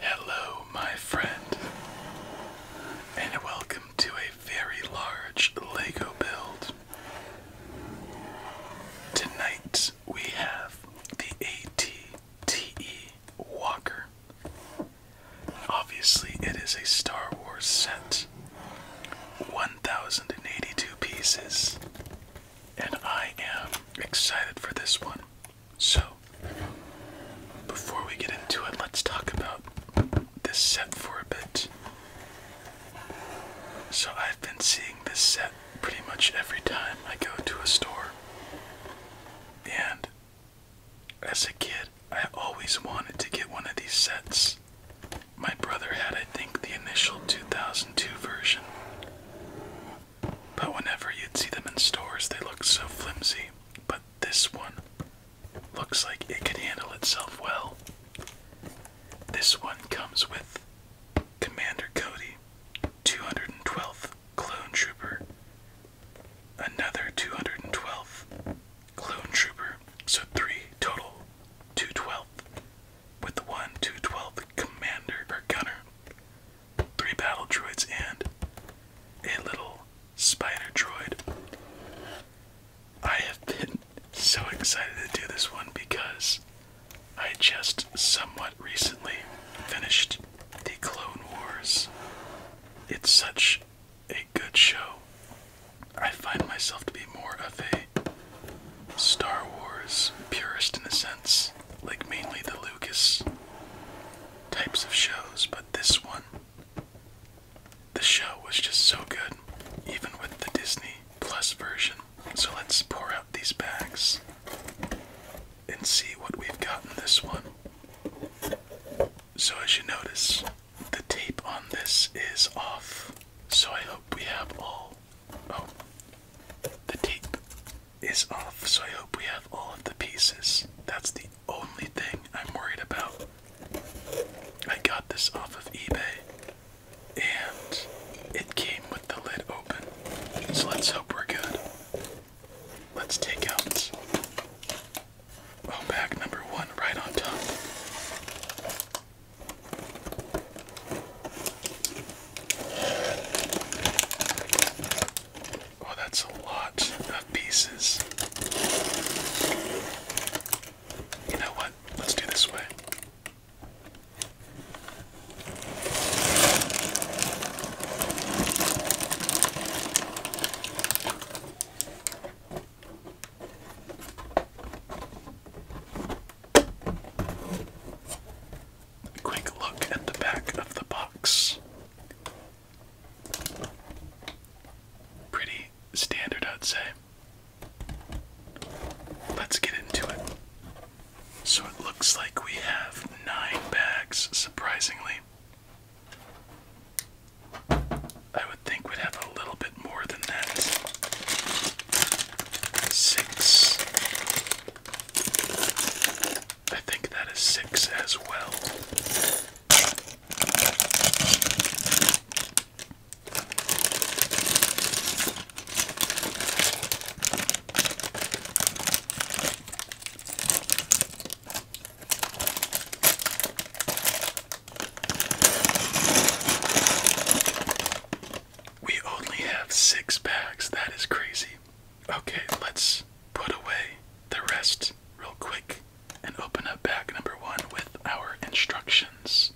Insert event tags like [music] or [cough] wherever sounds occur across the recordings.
Hello, my friend, and welcome to a very large LEGO build. Tonight we have the ATTE Walker. Obviously, it is a Star Wars set. One 1,082 pieces, and I am excited for this one. So, before we get into it, let's talk about this set for a bit. So, I've been seeing this set pretty much every time I go to a store, and as a kid, I always wanted to get one of these sets. My brother had, I think, the initial 2002 version. But whenever you'd see them in stores, they looked so flimsy. But this one looks like it could handle itself well. This one comes with Commander Cody, 212th Clone Trooper, another 212th Clone Trooper, so three total 212th with the 1 212 commander or gunner, 3 battle droids, and a little spider droid. I have been so excited to do this one because I just somewhat recently finished The Clone Wars. It's such a good show. I find myself to be more of a Star Wars purist in a sense, like mainly the Lucas types of shows, but this one, the show was just so good, even with the Disney Plus version. So let's pour out these bags and see what we've got in this one. So, as you notice, the tape on this is off. So, I hope we have all Oh, the tape is off, so I hope we have all of the pieces. That's the only thing I'm worried about. I got this off of eBay and it came with the lid open, so let's hope we're good. Let's take out. Oh, bag number one right on top. Oh, that's a lot of pieces. You know what? Let's do this way quick look at the back of the box. Pretty standard, I'd say. Let's get into it. So it looks like we have nine bags, surprisingly. I would think we'd have a little bit Six. I think that is six as well. We only have six packs. That is crazy. Okay, let's put away the rest real quick and open up bag number one with our instructions.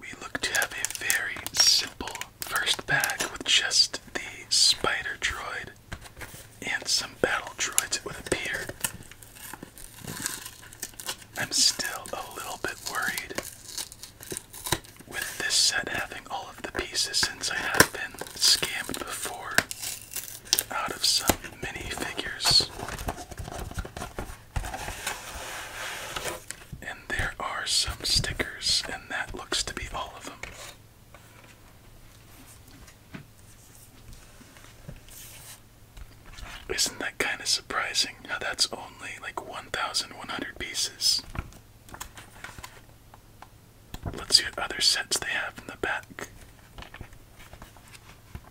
We look to have a very simple first bag with just the spider droid and some battle droids, it would appear. I'm still a little bit worried with this set having all of the pieces since I have been scammed before out of some minifigures. And there are some stickers, and that looks to be all of them. Isn't that kind of surprising how that's all only like 1,100 pieces. Let's see what other sets they have in the back.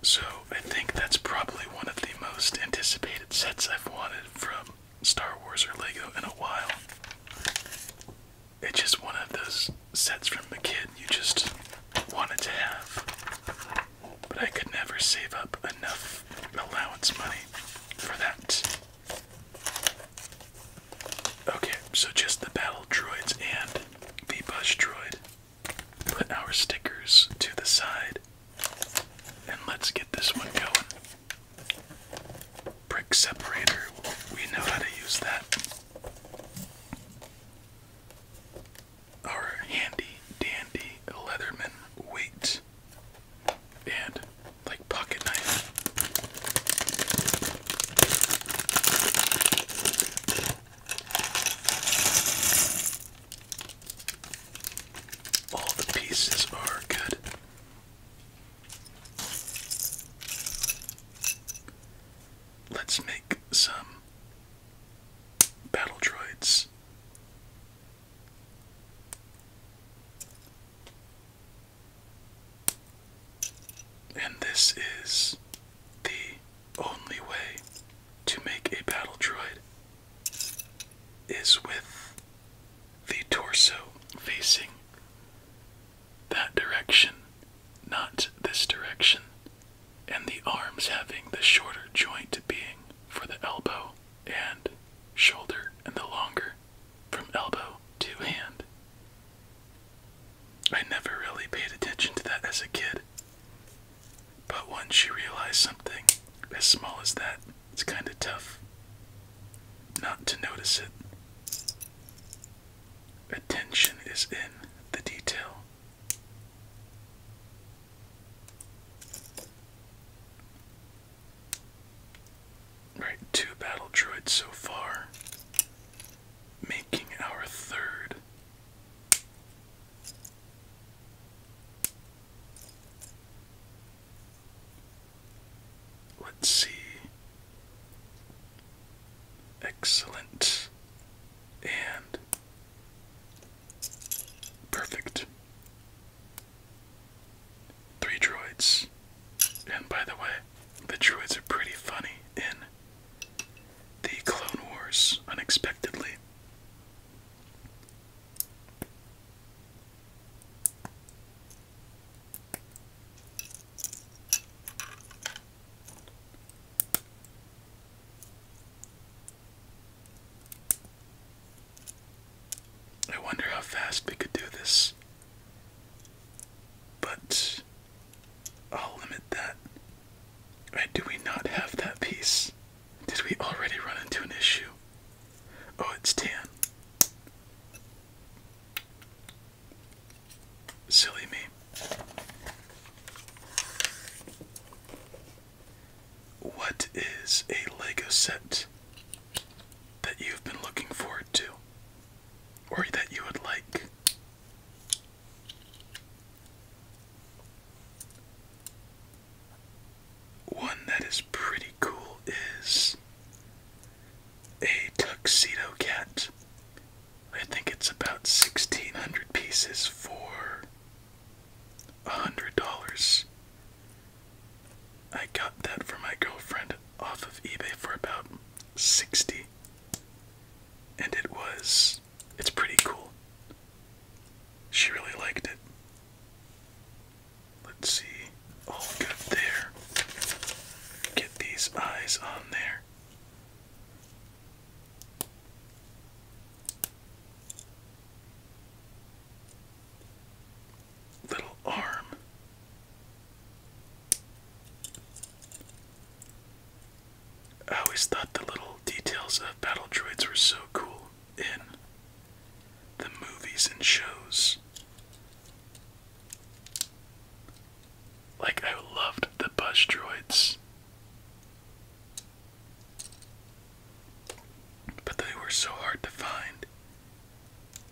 So, I think that's probably one of the most anticipated sets I've wanted from Star Wars or Lego in a while. It's just one of those sets from the kid you just wanted to have. But I could never save up enough allowance money for that. Okay, so just the battle droids and the bus droid. Put our stickers to the side and let's get this one going. Brick separator, we know how to use that. Our handy dandy Leatherman weight and like pocket knife. All the pieces are good. Let's make some battle droids and this is the only way to make a battle droid is with the torso facing that direction, not this direction, and the arms having the shorter joint being for the elbow and shoulder, and the longer from elbow to hand. I never really paid attention to that as a kid, but once you realize something as small as that, it's kind of tough not to notice it. Attention is in the detail. Right, two battle droids so far, making our third. Let's see. Excellent and perfect. Three droids. And by the way, the droids are pretty funny in the Clone Wars unexpectedly. I wonder how fast we could do this. But I'll limit that. Right, do we not have that piece? Did we already run into an issue? Oh, it's tan. Silly me. What is a Lego set? that you've been looking forward to or that you would like. One that is pretty cool is a tuxedo cat. I think it's about 1600 pieces for $100. I got that for my girlfriend off of eBay for about 60 and it was it's pretty cool. She really liked it. Let's see. All oh, good there. Get these eyes on there little arm. I always thought the little details of battle droids were so cool in the movies and shows. Like, I loved the buzz droids. But they were so hard to find.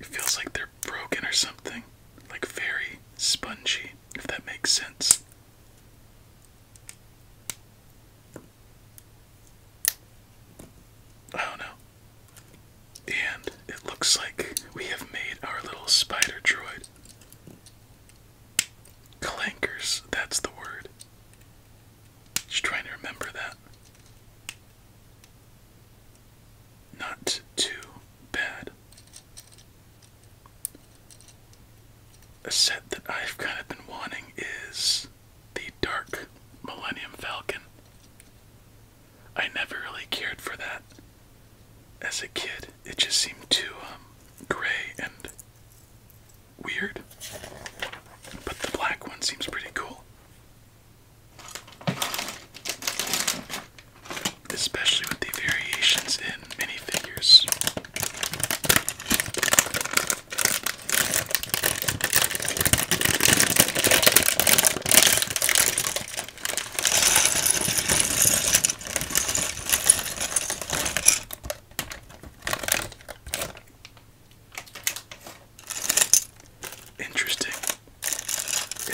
It feels like they're broken or something. Like very spongy, if that makes sense. I don't know. And it looks like we have made our little spider droid. Clankers, that's the word. Just trying to remember that. Not too bad. A set that I've kind of been wanting is the Dark Millennium Falcon. I never really cared for that as a kid. It just seemed too um, gray and weird. But the black one seems pretty cool. Especially with the variations in minifigures. Interesting.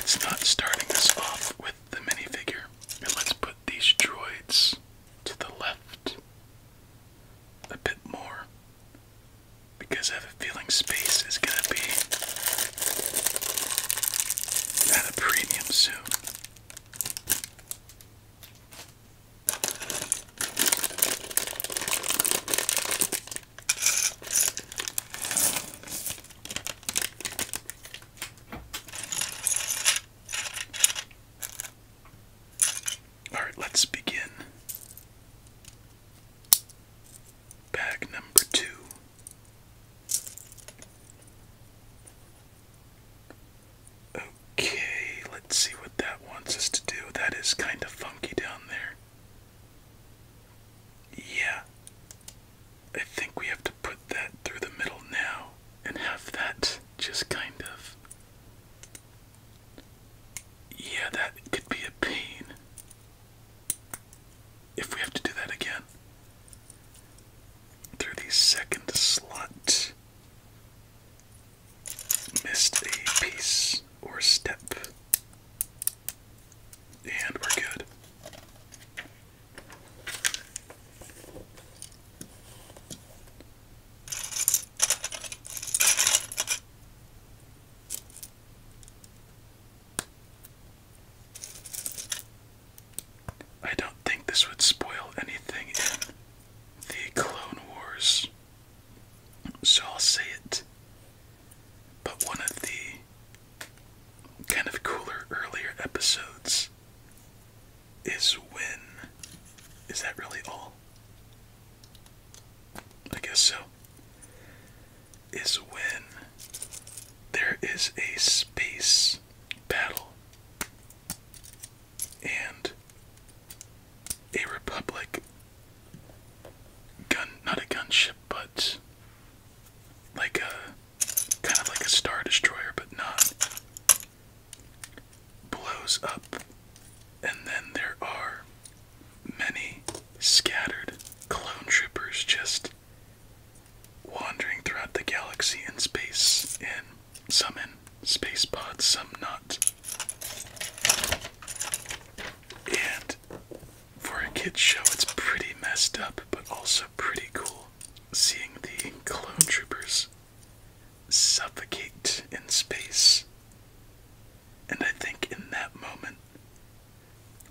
It's not starting us off with the minifigure. let's put these droids to the left a bit more because I have a feeling space is going to be at a premium soon. All right, let's begin. Bag number two. Okay, let's see what that wants us to do. That is kind of funky down there. Yeah. I think we have to put that through the middle now and have that just kind of. Yeah, that could be a pain. If we have to do that again. Through the second slot. Missed a piece or step. And we're good. I don't think this would spoil anything in the Clone Wars, so I'll say it but one of the kind of cooler earlier episodes is when. Is that really all? I guess so. Is when there is a space battle and a republic gun, not a gunship, but like a kind of like a star destroyer, but not blows up. And then there are many scattered clone troopers just wandering throughout the galaxy in space, in some in space pods, some not. And for a kid show, it's pretty messed up, but also pretty cool. Seeing the clone troopers suffocate in space. And I think in that moment,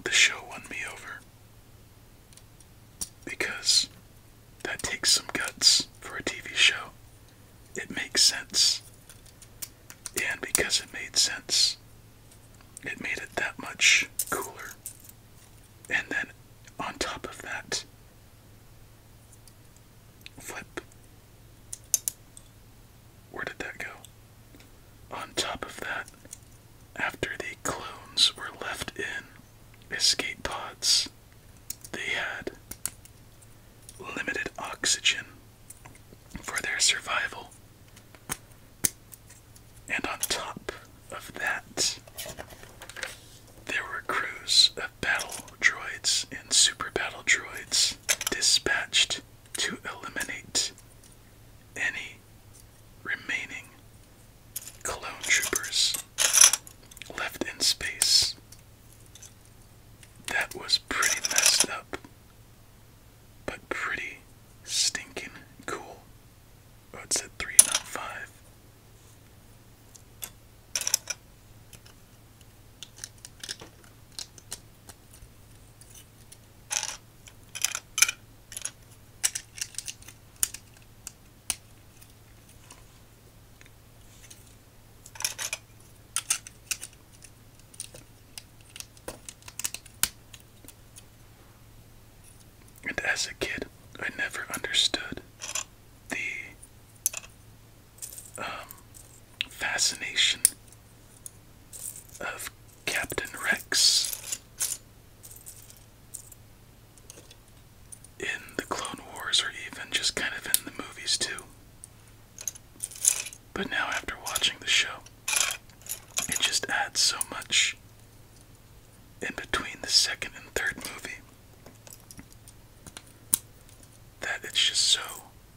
the show won me over. Because that takes some guts for a TV show. It makes sense. And because it made sense, it made it that much cooler. And then on top of that, flip. Where did that go? On top of that, after the clones were left in escape pods, they had limited oxygen for their survival. And on top of that, there were crews of battle droids and super battle droids dispatched to eliminate any remaining clone troopers left in space. That was pretty messed up but pretty stinking cool. Oh, it said three, and as a kid, I never understood the um, fascination of Captain Rex in the Clone Wars, or even just kind of in the movies, too. But now, after watching the show, it just adds so much in between the second and third movie that it's just so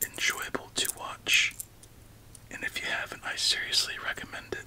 enjoyable to watch. And if you haven't, I seriously recommend it.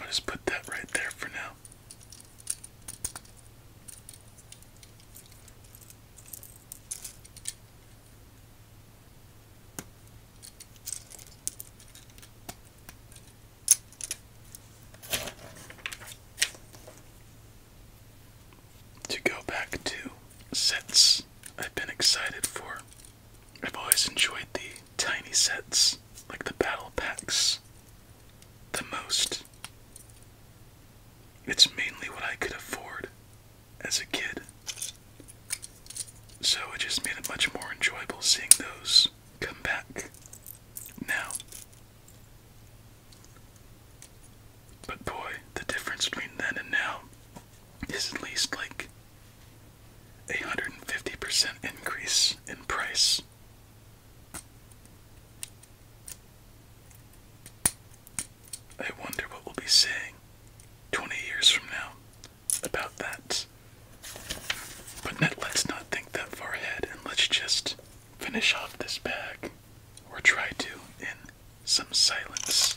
I'll just put that right there for now. To go back to sets I've been excited for. I've always enjoyed the tiny sets, like the battle packs, the most. It's mainly what I could afford as a kid. So it just made it much more enjoyable seeing those come back now. But boy, the difference between then and now is at least like a 150% increase in price. I wonder what we'll be saying 20 years from now about that. But let, us not think that far ahead and let's just finish off this bag, or try to, in some silence.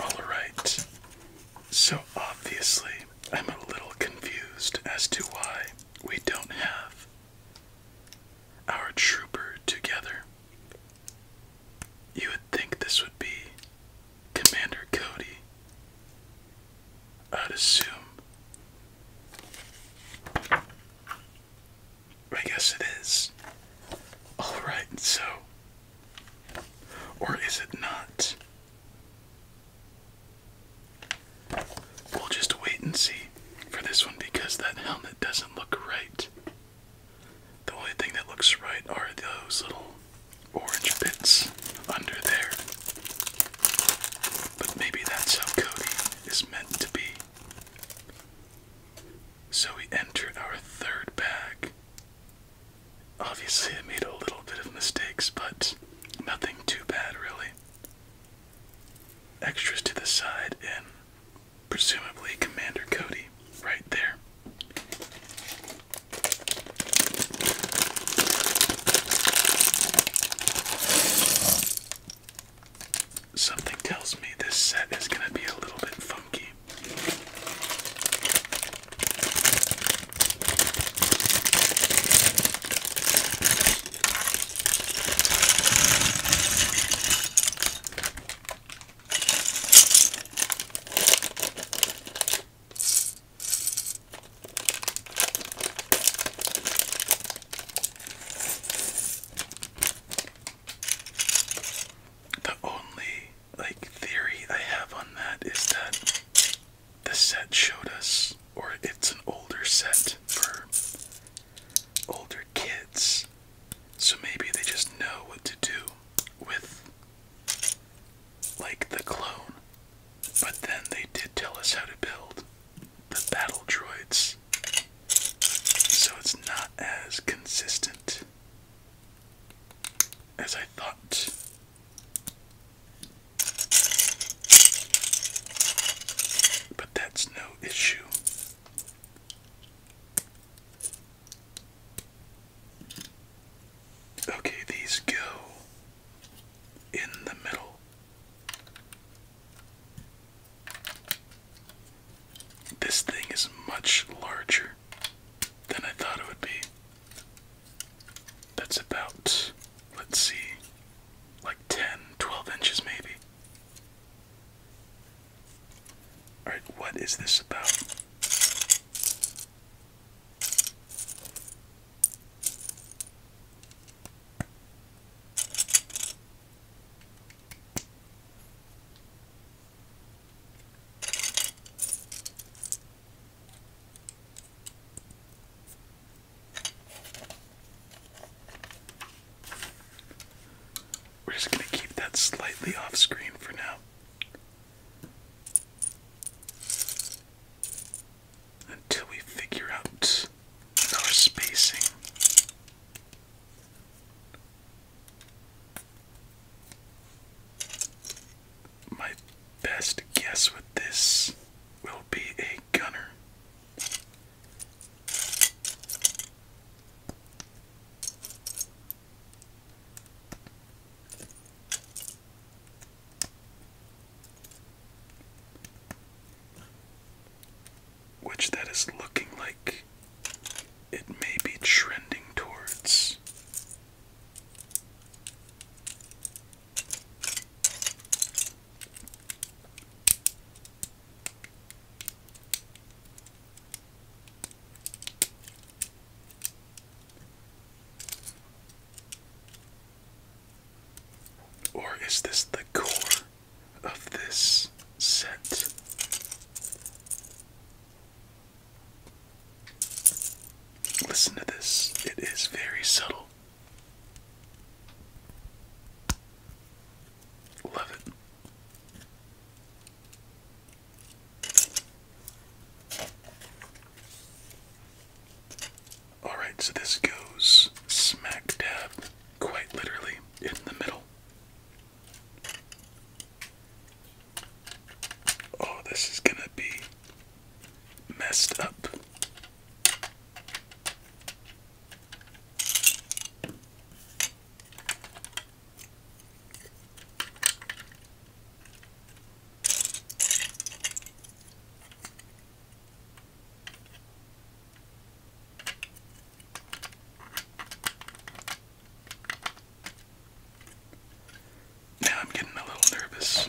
All right. So obviously, I'm a little confused as to why we don't have our trooper together. You would think this would be Commander Cody, I'd assume. I guess it is. Alright, so. Or is it not? We'll just wait and see for this one because that helmet doesn't look right. The only thing that looks right are those little orange bits under there. But maybe that's how Cody is meant to be. So we enter our third bag. Obviously, I made a little bit of mistakes, but nothing too bad, really extras to the side and presumably Commander Cody right there. Something tells me this set is going to be a little bit funky. The only like theory I have on that is that the set showed us or it's an older set for older kids, so maybe they just know what to do with like the clone. But then they did tell us how to build the battle droids, so it's not as consistent as I thought. But that's no issue. Okay, these go in the middle. This thing is much larger than I thought it would be. That's about, let's see, like 10, 12 inches maybe. Alright, what is this about? We're just going to keep that slightly off screen for now. Until we figure out our spacing. My best guess with this will be a gunner. Which that is looking like it may be trending towards. Or is this the core of this set? Listen to this, it is very subtle. Love it. Alright, so this goes smack dab, quite literally, in the middle. Oh, this is gonna be messed up. Now I'm getting a little nervous.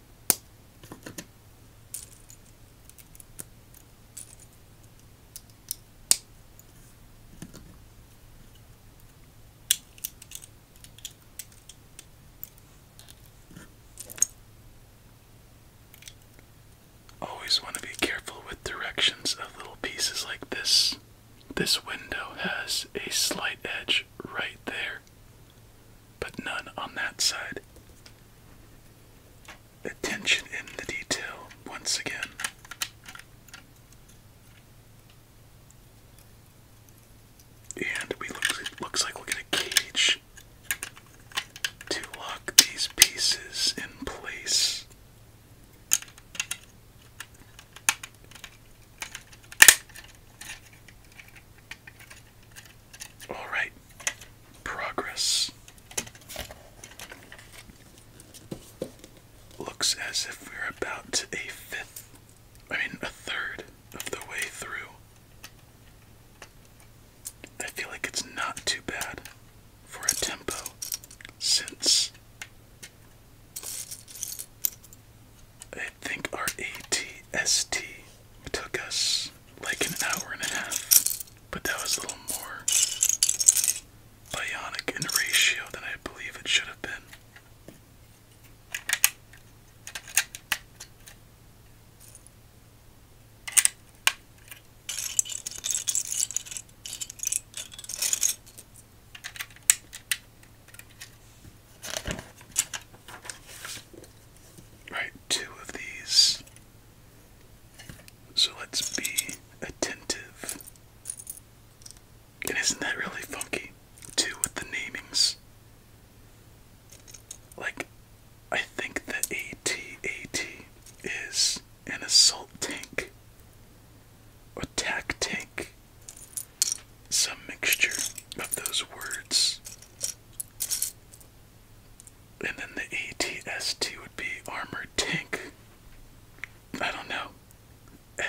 Always want to be careful with directions of little pieces like this. This window has a slight edge right there but none on that side. Attention in the detail once again. And we look, it looks like we get a cage to lock these pieces in place. All right, progress. Looks as if we're about a fifth, I mean, a third of the way through. I feel like it's not too bad for a tempo since I think our ATST it took us like an hour and a half, but that was a little more bionic in ratio than I believe it should have been. Right, two of these so let's be attentive. isn't that really funky, too, with the namings? Like, I think the at is an assault tank or tank. Some mixture of those words. And then the ATST would be armored tank. I don't know.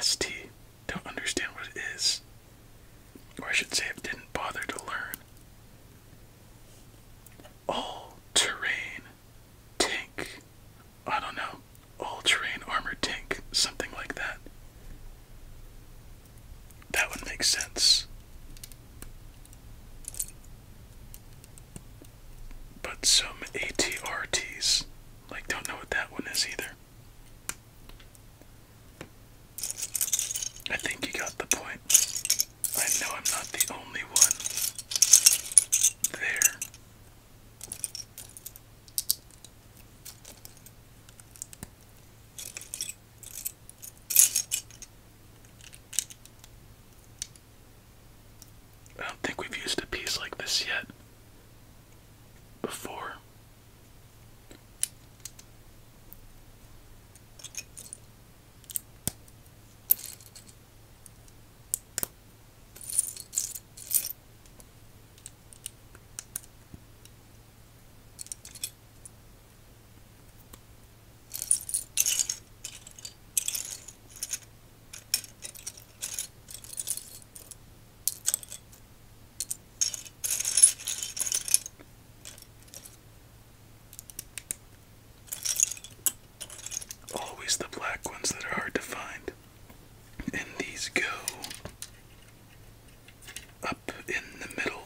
ST. Don't understand what it is. Or I should say, I didn't bother to learn. All terrain tank. I don't know. All terrain armored tank. Something like that. That would make sense. But some ATRTs, like, don't know what that one is either. I think you got the point. I know I'm not the only one there. I don't think we've used a piece like this yet before. Always the black ones that are hard to find. And these go up in the middle,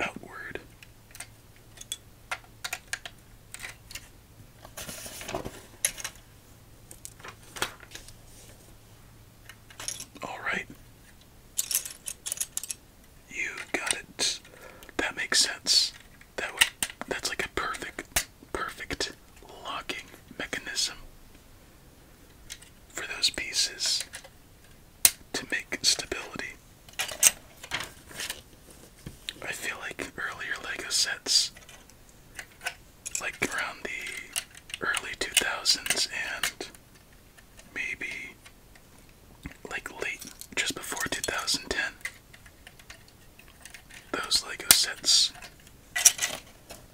outward, all right. You got it. That makes sense. That would that's like a perfect perfect locking mechanism for those pieces to make stability. I feel like earlier Lego sets, like around the early 2000s and maybe like late, just before 2010, those Lego sets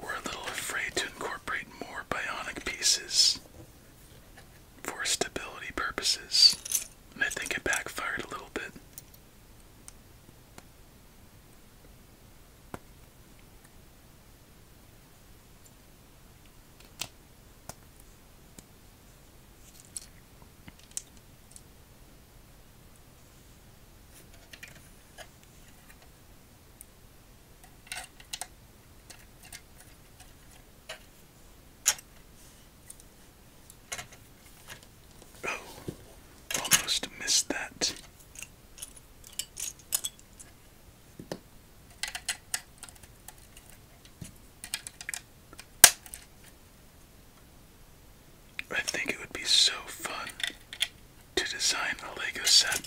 were a little afraid to incorporate more bionic pieces for stability purposes, I think it backfired a little bit. Oh, almost missed that. I think it would be so fun to design a Lego set,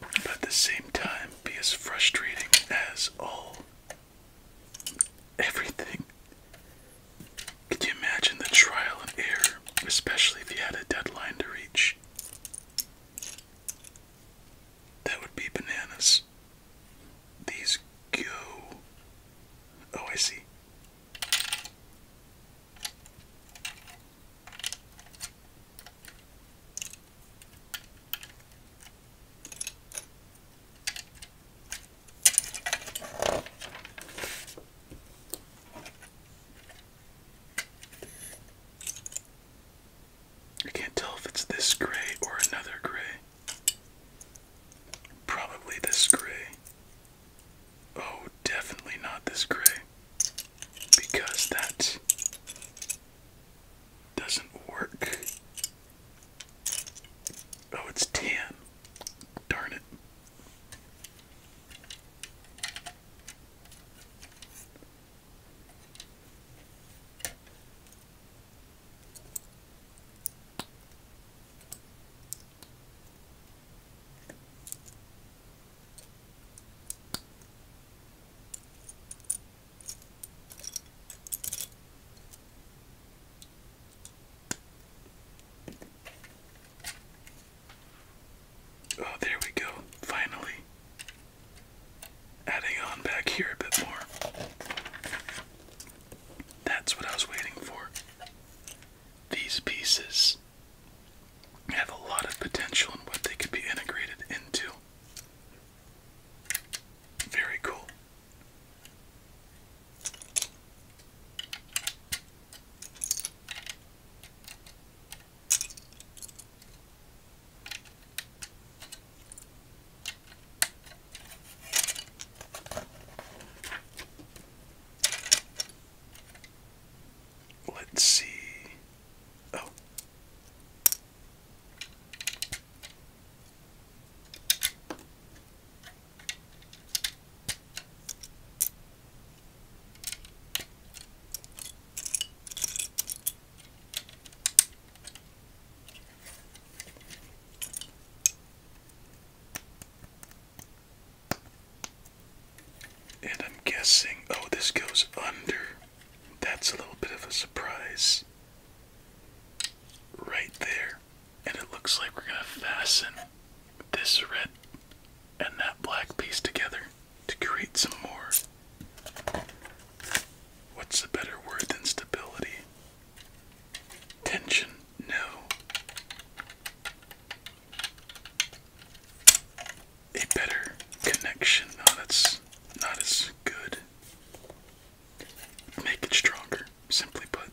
but at the same time be as frustrating as all everything. Could you imagine the trial and error, especially if you had a deadline to reach? That would be bananas. These go. Oh, I see. I can't tell if it's this gray or another gray. Probably this gray. Oh, definitely not this gray. Because that doesn't work. Oh, it's tan. Darn it. Oh, there we go. Finally. Adding on back here a bit more. That's what I was waiting for. These pieces have a lot of potential in what they could be integrated into. Very cool. Let's see. Oh. And I'm guessing, oh, this goes under. That's a little bit of a surprise. Right there. And it looks like we're gonna fasten this red and that black piece together to create some more. What's a better word than stability? Tension? No. A better connection? No, that's not as good make it stronger, simply put.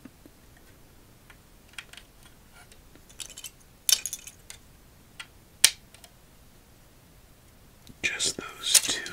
Just those two.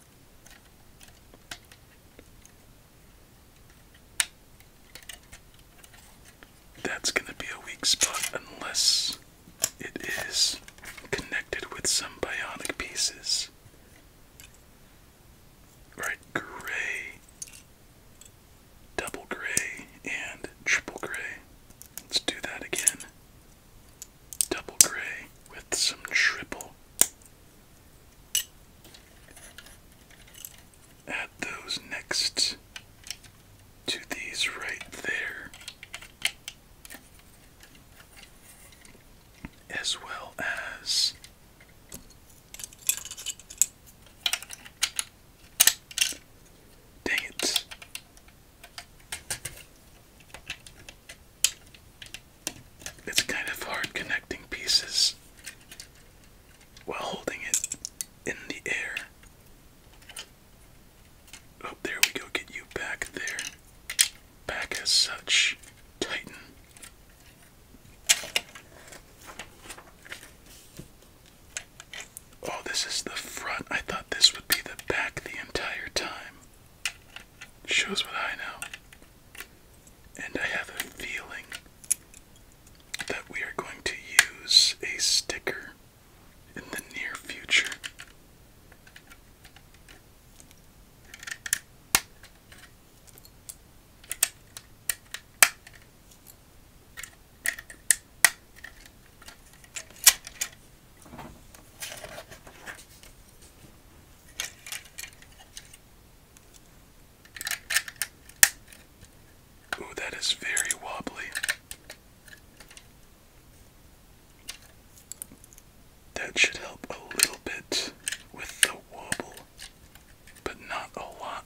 That's going to be a weak spot unless it is connected with some bionic pieces. Right, gray, double gray, and triple gray. Let's do that again. Double gray with some triple Add those next to these right there, as well as dang it. It's kind of hard connecting pieces while holding it in the air. Oh, there we go. Get you back there. Back as such. Titan. Oh, this is the front. I thought this would be the back the entire time. Shows what I know. And I have a feeling that we are going to use a sticker in the near future. Ooh, that is very wobbly. That should help a little bit with the wobble, but not a lot.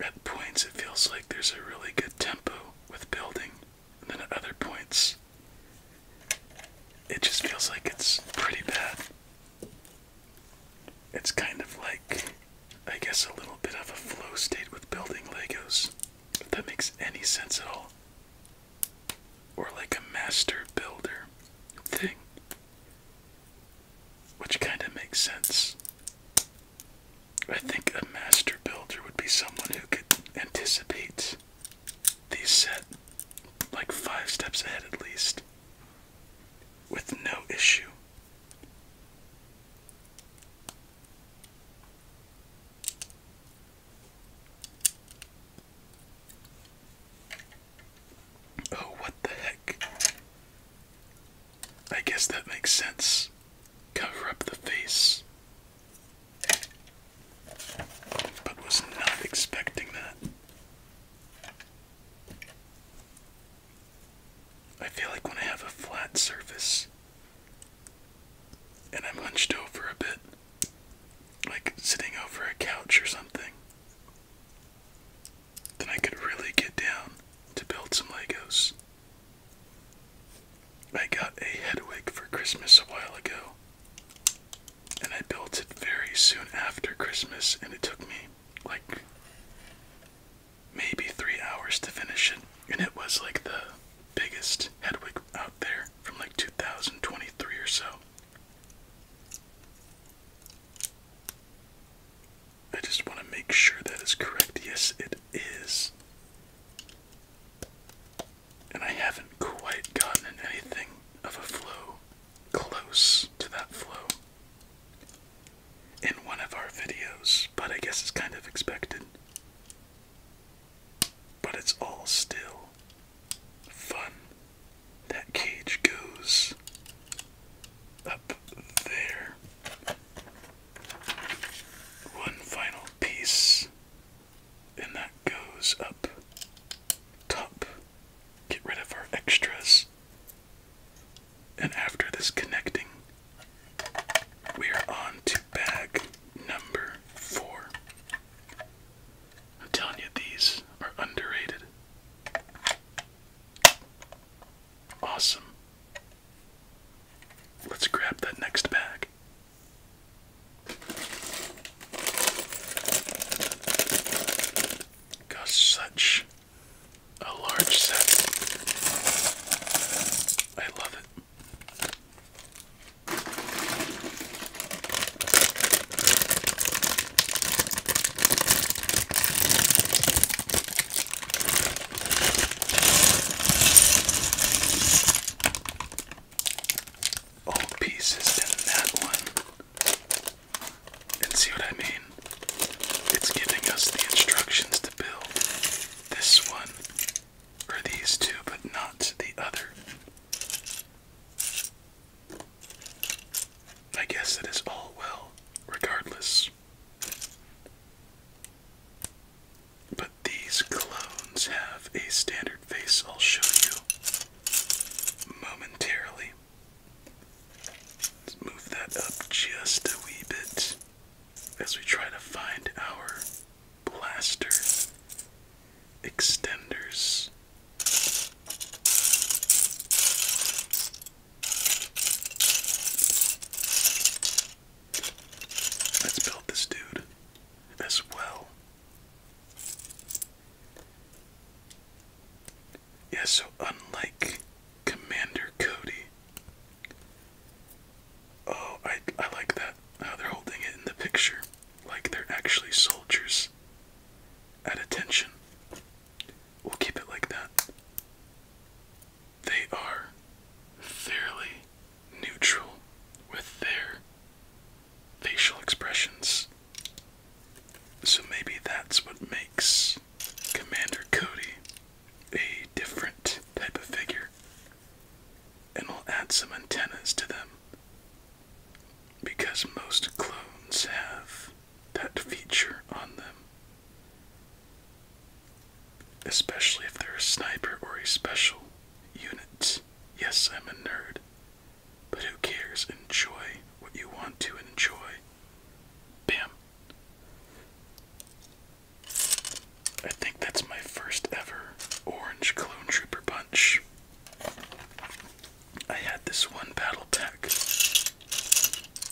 At points, it feels like there's a really good tempo with building then at other points, it just feels like it's pretty bad. It's kind of like, I guess, a little bit of a flow state with building Legos, if that makes any sense at all. Or like a master builder thing, which kind of makes sense I think a master builder would be someone who could anticipate these set like five steps ahead at least with no issue. Oh, what the heck? I guess that makes sense. Cover up the face but was not expecting that. I feel like when I have a flat surface and I'm hunched over a bit, like sitting over a couch or something, then I could really get down to build some Legos. I got a Hedwig for Christmas a while ago, and I built it very soon after Christmas, and it took me like maybe three hours to finish it, and it was like the biggest Hedwig out there from like 2023 or so. I just want to make sure that is correct. Yes, it is. And I haven't quite gotten anything of a flow close to that flow in one of our videos, but I guess it's kind of expected. But it's all still fun. That cage goes up there. One final piece and that goes up top. Get rid of our extras. And after this connecting, we are on to bag number four. I'm telling you, these are underrated. Awesome. Let's grab that next bag. Got such a large set. I love it. All pieces in that one. And see what I mean? It's giving us the instructions to build this one or these two, but not the other. I guess it is all well, regardless. But these clones have a standard face I'll show you momentarily. Let's move that up just a wee bit as we try to find our blaster extenders. Let's build this dude as well. Yeah, so unlike Commander Cody. Oh, I I like that. How they're holding it in the picture. Like they're actually soldiers at attention. We'll keep it like that. They are fairly neutral with their facial expressions. So maybe that's what makes Commander Cody a different type of figure. And we'll add some antennas to them. Because most clones have that feature on them. Especially if they're a sniper or a special unit. Yes, I'm a nerd. But who cares? Enjoy what you want to enjoy. Bam. I think that's my first ever Orange Clone Trooper Punch. I had this one battle pack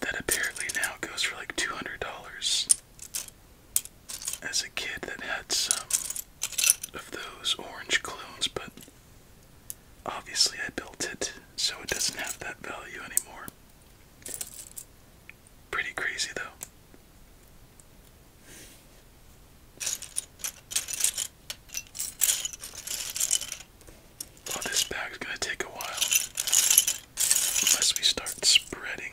that apparently now goes for like $200 as a kid that had some of those orange clones, but obviously I built it so it doesn't have that value anymore. Pretty crazy though. Oh, this bag's gonna take a while. Unless we start spreading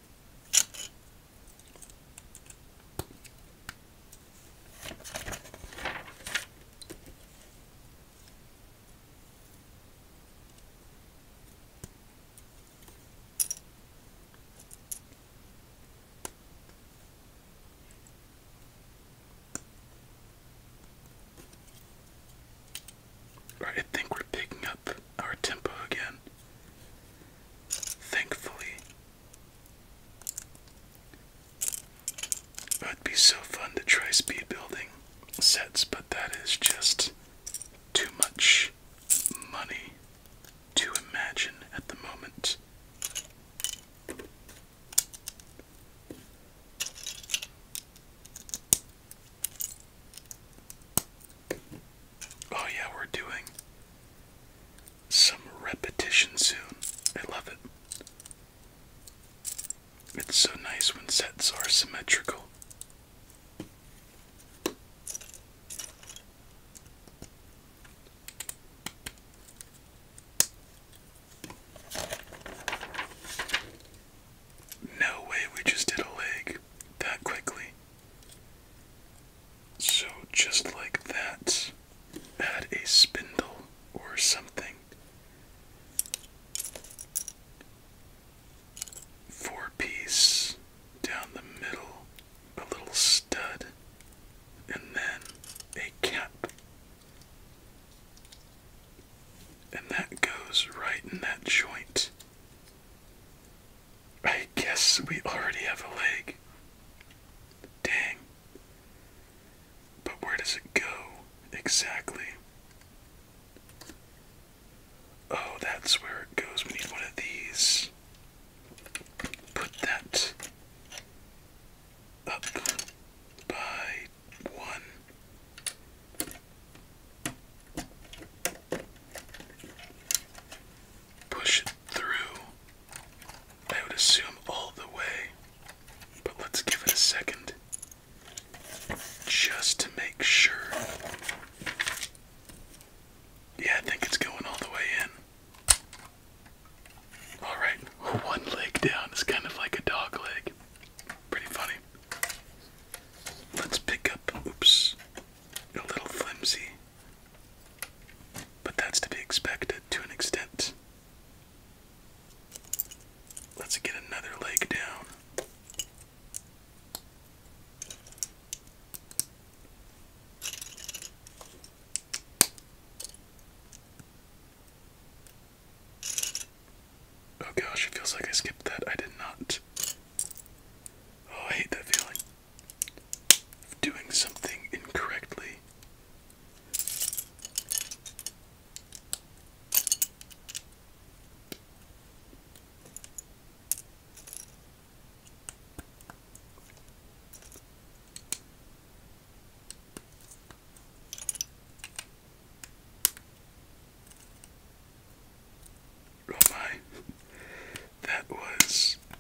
I think we're picking up our tempo again. Thankfully, it would be so fun to try speed building sets, but that is just too much money to imagine at the moment. Oh, yeah, we're doing some repetition soon. I love it. It's so nice when sets are symmetrical. No way we just did a leg that quickly. So, just like that, add a spindle or something. Four piece down the middle, a little stud, and then a cap. And that goes right in that joint. I guess we already have a leg. Dang. But where does it go exactly? Oh, that's where it goes. We need one of these. Put that up by one. Push it through I would assume all the way, but let's give it a second just to make sure. Yeah, I think it's going all the way in. Alright, one leg down is kind of like a dog leg. Pretty funny. Let's pick up, oops, a little flimsy but that's to be expected to an extent. Let's get another leg down. Oh gosh, it feels like I skipped that. I did not. Oh, I hate that feeling doing something incorrectly. Oh my, [laughs] that was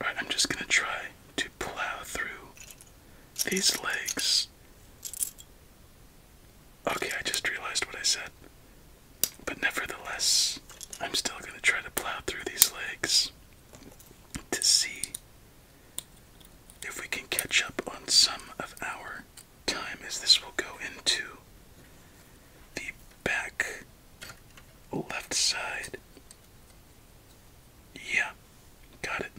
All right, I'm just going to try to plow through these legs. Okay, I just realized what I said. But nevertheless, I'm still going to try to plow through these legs to see if we can catch up on some of our time, as this will go into the back left side. Yeah, got it.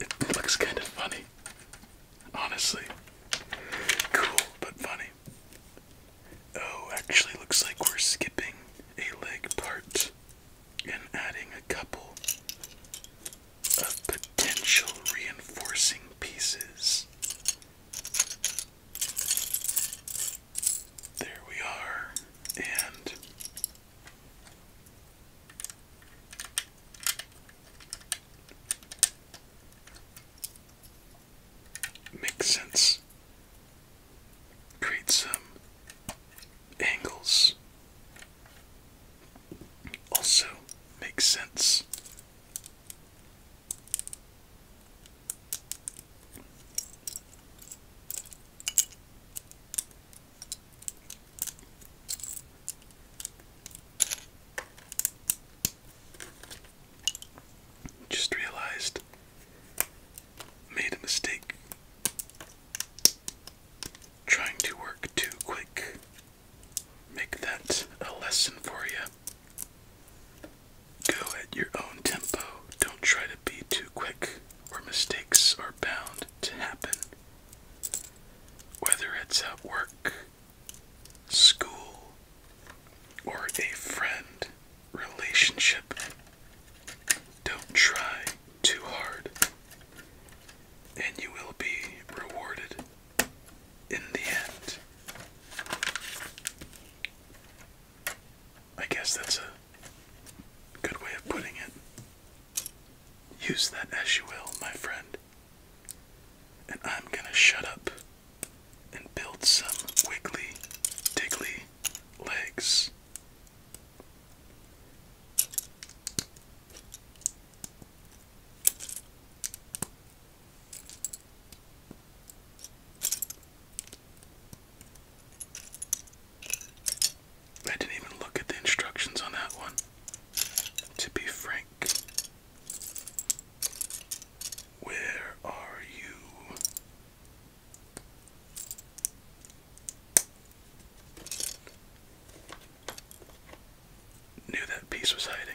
It looks kind of funny, honestly. Cool, but funny. Oh, actually, looks like we're skipping a leg part and adding a couple of potential reinforcing pieces. There we are, and makes sense. Create angles. Also makes sense. Just realized made a mistake trying to work too quick. Make that a lesson for you. Go at your own tempo. Don't try to be too quick, or mistakes are bound to happen. Whether it's at work, school, or a friend relationship, don't try too hard, and you will be rewarded in the end. I guess that's a good way of putting it. Use that as you will, my friend. And I'm gonna shut up and build some wiggly, diggly legs. I didn't even look at the instructions on that one, to be frank. Where are you? Knew that piece was hiding.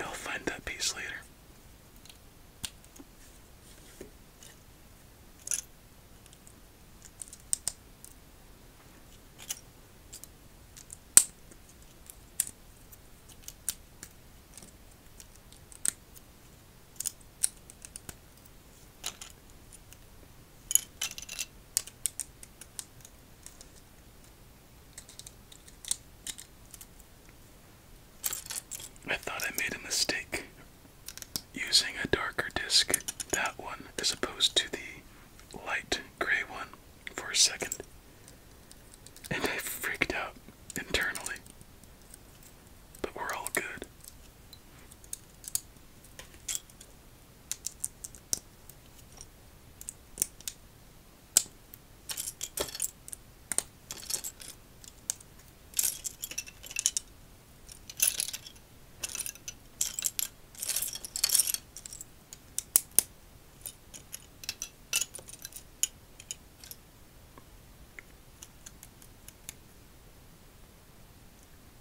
I'll find that piece later. I thought I made a mistake using a darker disc, that one, as opposed to the light gray one for a second, and I freaked out internally. But we're all good.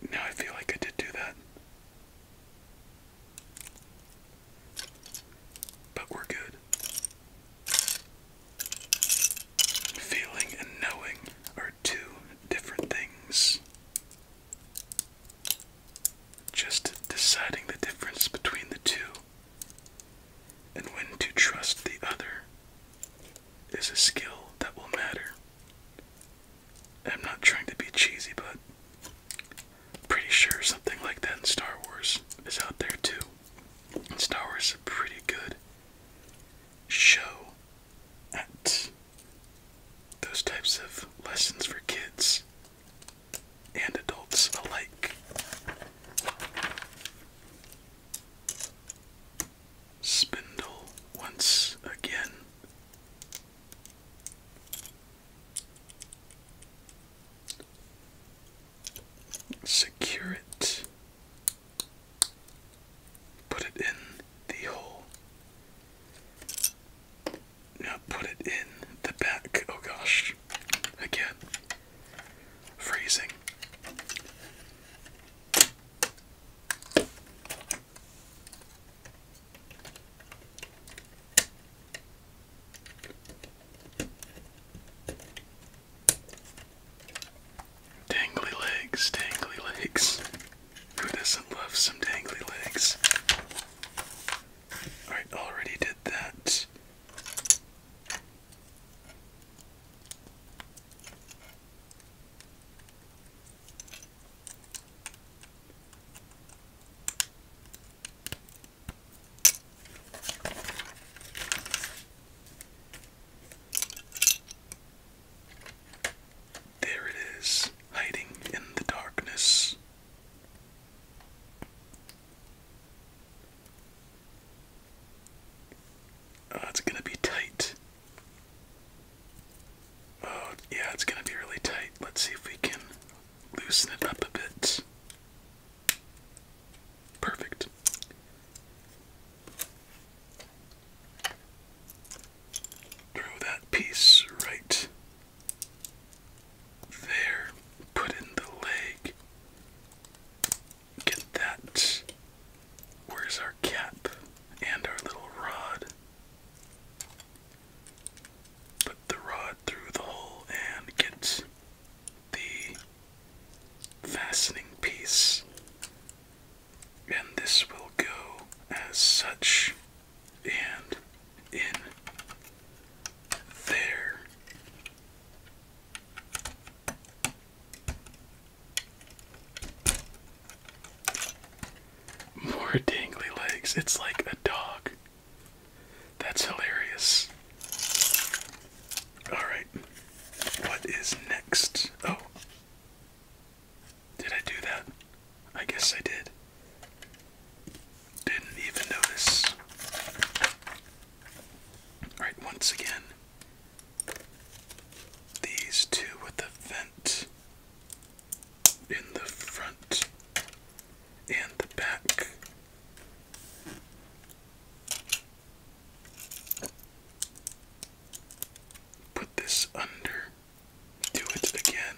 Now I feel like I did do that. But we're good. Feeling and knowing are two different things. Just deciding the difference between the two and when to trust the other is a skill that will matter. I'm not trying to be cheesy, but pretty sure something like that in Star Wars is out there too. Star Wars is a pretty good show at those types of lessons for kids and adults alike. Spindle once again. Secure it. Put it in the hole. Now put it in the back. Oh gosh. Again. Freezing. Dangly legs, dangly legs. Who doesn't love some dangly legs? I already did that. There it is, hiding in the darkness. Oh, it's gonna be tight. Oh, yeah, it's gonna be really tight. Let's see if we can loosen it up a bit. Perfect. Throw that piece right there. Put in the leg. Get that. Where's our cap and our little rod? Put the rod through the hole and get the fastening piece. And this will go as such and in there. More dangly legs. It's like a dog. That's hilarious. Alright. What is next? Oh. Did I do that? I guess I did. Didn't even notice. Alright, once again. These two with the vent in the front and the back. Put this under. Do it again.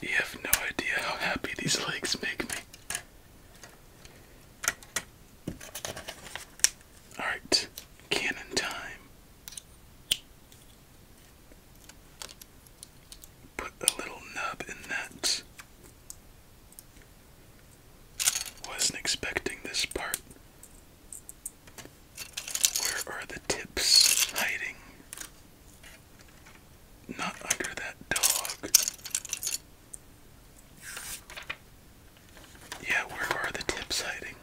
You have no idea how happy these legs make me. Alright, cannon time. Put a little nub in that. Wasn't expecting this part. Where are the tips hiding? Not under that dog. Yeah, where are the tips hiding?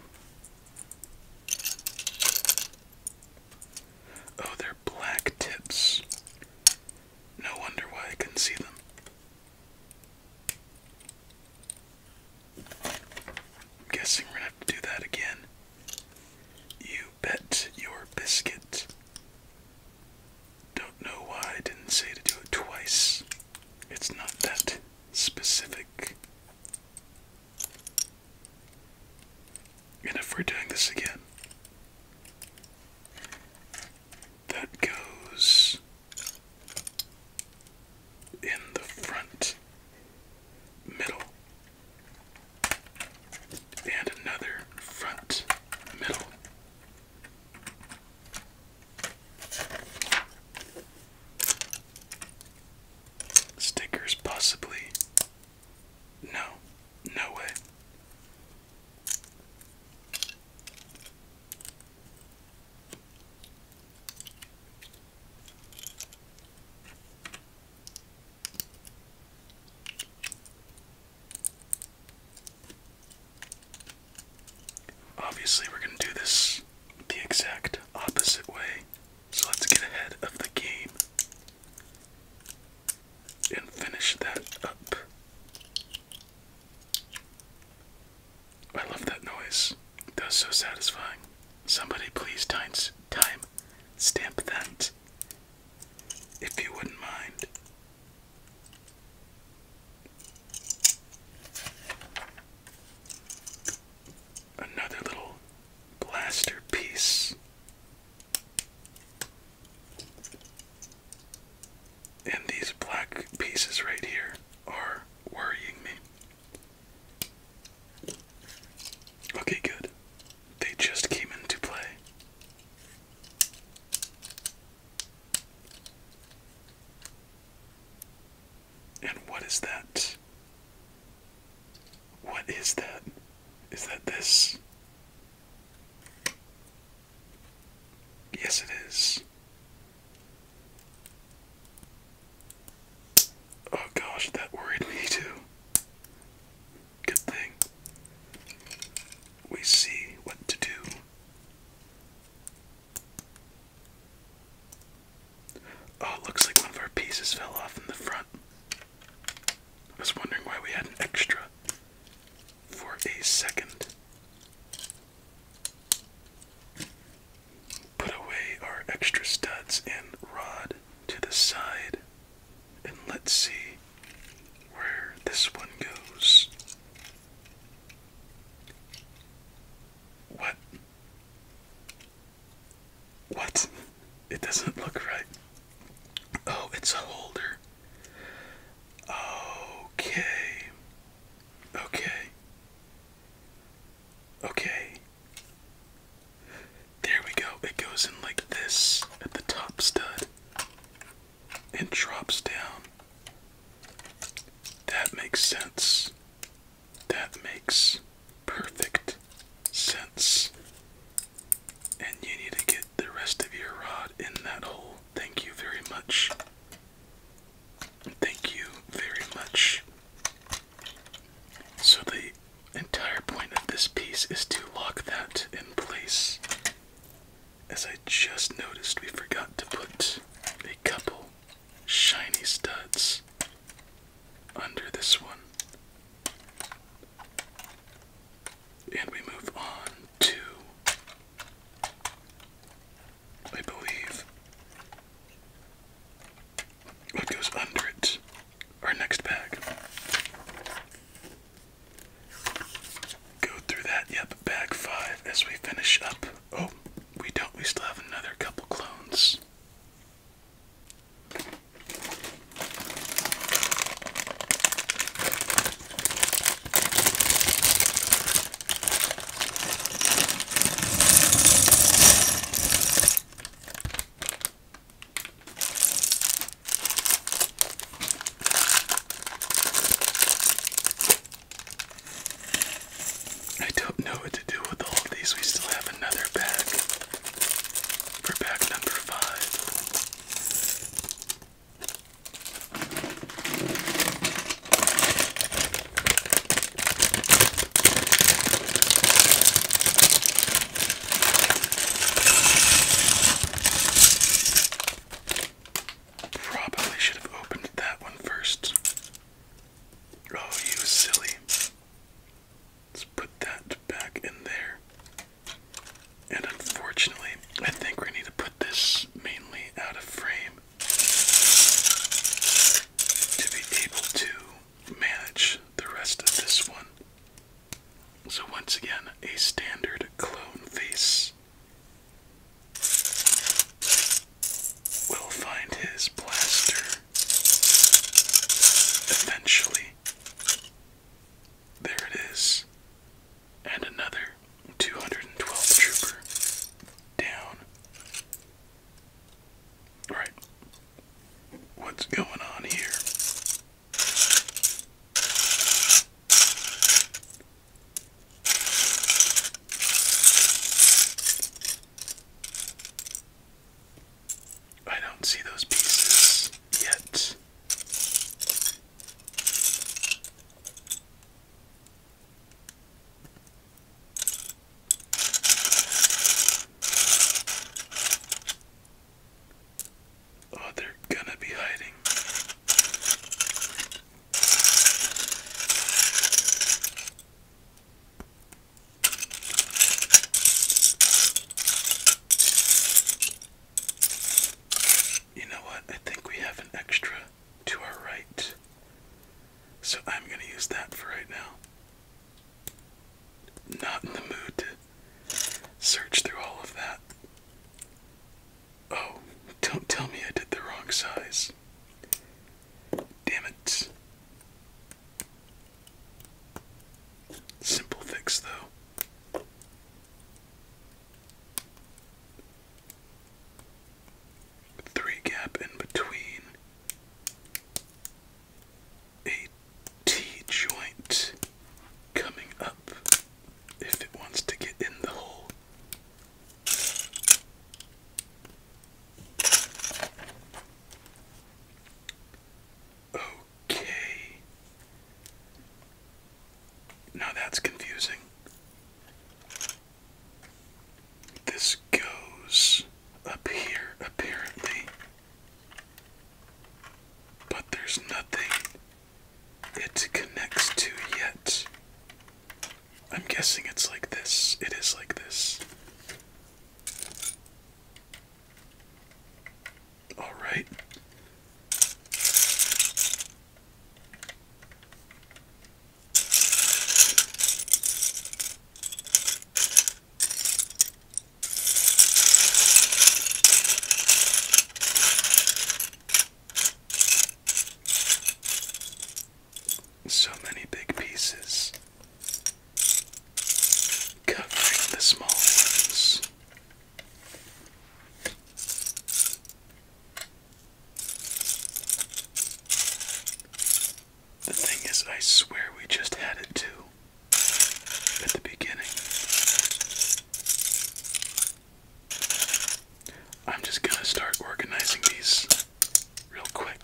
Oh, they're black tips. No wonder why I can see them. I'm guessing we're gonna have to do that again. You bet your biscuit. Don't know why I didn't say to do it twice. It's not that specific. And if we're doing this again, that goes in the front middle and another front middle. Stickers, possibly. No, no way. Obviously, we're going to do this the exact opposite way, so let's get ahead of the game and finish that up. I love that noise. That was so satisfying. Somebody please time, time stamp that if you wouldn't mind. Another little blaster piece. And these black pieces right here are worrying me. Okay, good. They just came into play. And what is that? What is that? Is that this? Yes, it is. Oh gosh, that worried me too. Good thing. We see what to do. Oh, looks like one of our pieces fell off in the front. I was wondering why we had an extra for a second. Put away our extra studs and rod to the side. And let's see where this one goes. What? What? It doesn't look right. Oh, it's a holder. Okay. Okay. Okay. There we go. It goes in like this at the top stud and drops down. That makes sense. That makes perfect sense. And you need to get the rest of your rod in that hole. Thank you very much. Thank you very much. So the entire point of this piece is to lock that in place. As I just noticed, we forgot to put a couple shiny studs under this one. And we move on to, I believe, what goes under it our next bag. Go through that, yep, bag five as we finish up. Oh, we don't, we still have another couple clones. I don't know what to do with all of these. We still have another bag for pack number five. Probably should have opened that one first. Oh, you silly. Let's put that back in there. And unfortunately, I think we need to put this mainly out of frame to be able to manage the rest of this one. So, once again, a standard clone face will find his blaster eventually. There it is. And another 212 trooper down. All right. What's going on here? I don't see those pieces yet. Oh, they're gonna be hiding. You know what? I think we have an extra to our right. So I'm going to use that for right now not in the mood to search through all of that. Oh, don't tell me I did the wrong size. Damn it. Simple fix, though. Three gap in between a T joint coming up if it wants to get in the hole. Okay. Now that's confusing. This goes up here, apparently. But there's nothing it connects to yet. I'm guessing it's like this. It is like this. Alright. So many big pieces covering the small ones. The thing is, I swear we just had it too at the beginning. I'm just going to start organizing these real quick.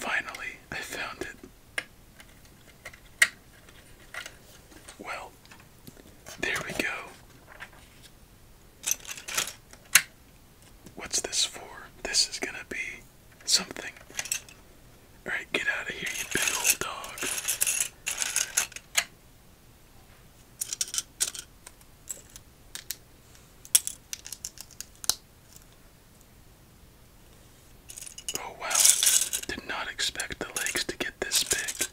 Finally, I found it. Well, there we go. What's this for? This is gonna be something. Alright, get out of here, you big old dog. Oh wow, did not expect the legs to get this big.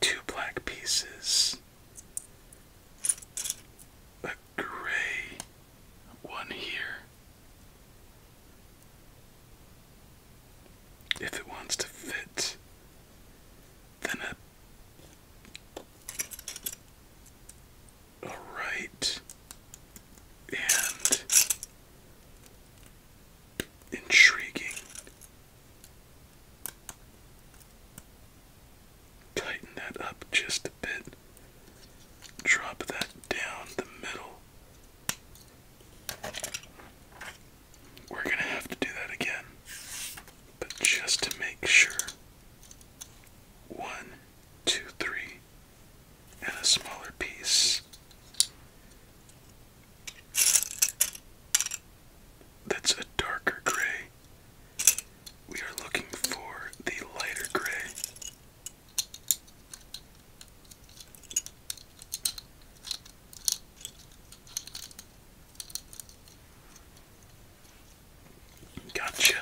two black pieces, a gray one here. If it wants to fit, then a, a and intriguing Tighten that up just a bit. Drop that down the middle. We're going to have to do that again, but just to make sure. One, two, three, and a smaller piece. That's a darker gray. We are looking for the lighter gray. Gotcha.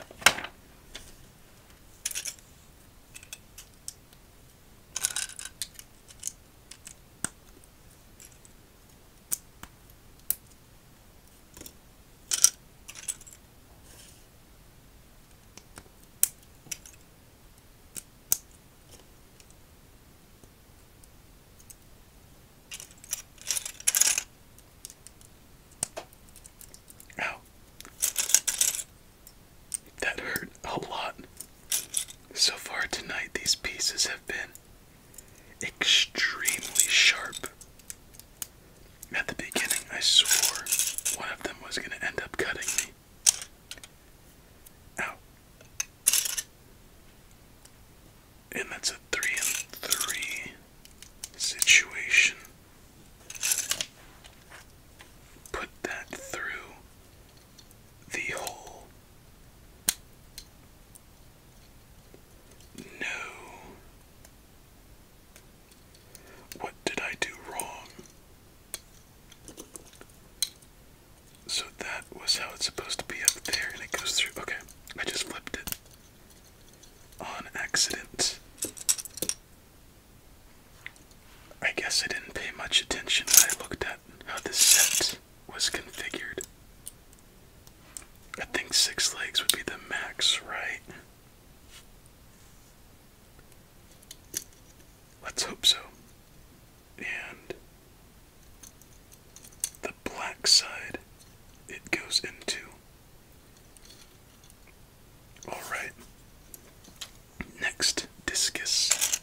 Ow. That hurt a lot. So far tonight, these pieces have been extremely sharp. At the beginning, I swore one of them was going to end up cutting me. Ow. And that's a three and three situation. Put that through the hole. No. What did I do wrong? So that was how it's supposed to be up there, and it goes through. Okay, I just flipped it on accident. I guess I didn't pay much attention I looked at how this set was configured. I think six legs would be the max, right? Let's hope so. And the black side it goes into. Alright. Next discus.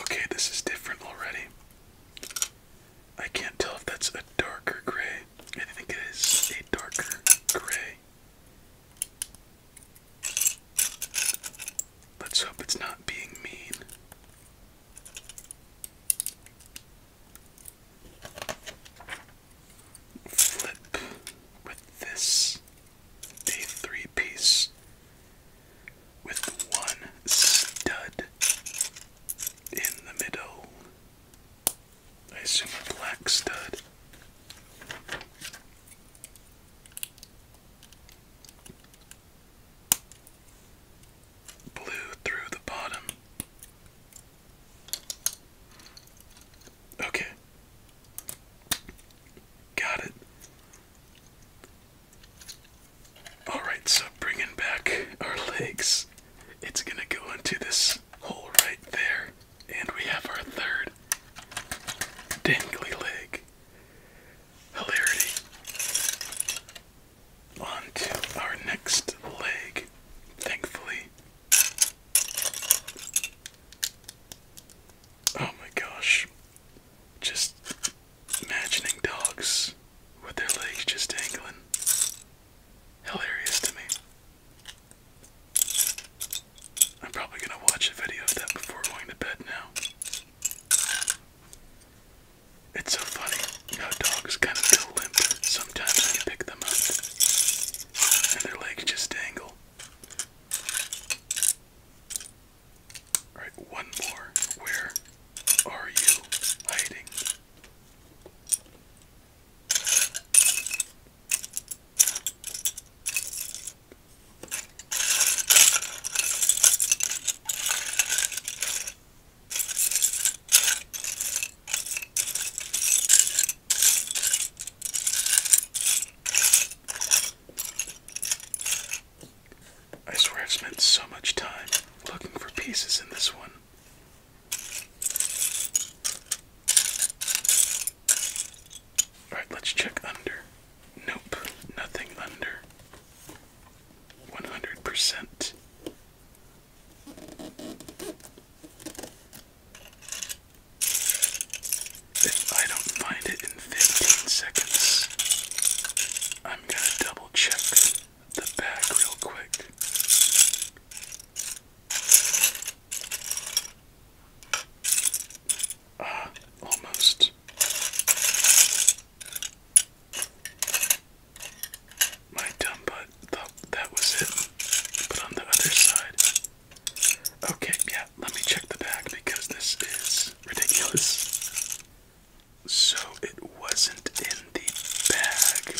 Okay, this is different already. I can't tell if that's a darker gray. I think it is a darker gray. Let's hope it's not being mean. Flip with this a three piece with one stud in the middle. I assume a black stud. Blue through the bottom. Okay. Got it. Alright, so bringing back our legs, it's gonna go into this hole right there, and we have our third dangly leg. Hilarity. On to our next leg, thankfully. Oh my gosh. Just imagining dogs with their legs just dangling. Hilarious to me. I'm probably gonna watch a video of that before going to bed now. It's so funny how dogs kind of go limp sometimes when you pick them up, and their legs just dangle. Alright, one more. Where are you hiding? I swear I've spent so much time looking for pieces in this one. Alright, let's check under. Nope, nothing under. 100%. If I don't find it in 15 seconds, I'm gonna double check the back real quick. Ah, almost. My dumb butt thought that was it, but on the other side, Okay, yeah, let me check the bag because this is ridiculous. So it wasn't in the bag.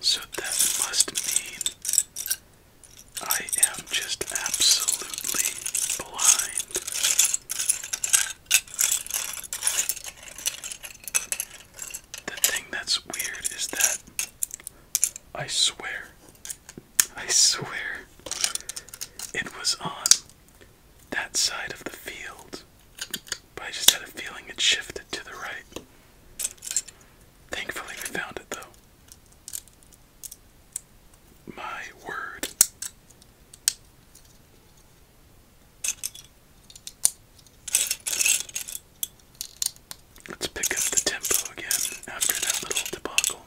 So that must mean I am just absolutely blind. The thing that's weird is that I swear I swear it was on that side of the field, but I just had a feeling it shifted to the right. Thankfully, we found it though. My word. Let's pick up the tempo again after that little debacle.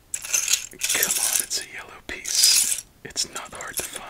Come on, it's a yellow piece. It's not hard to find.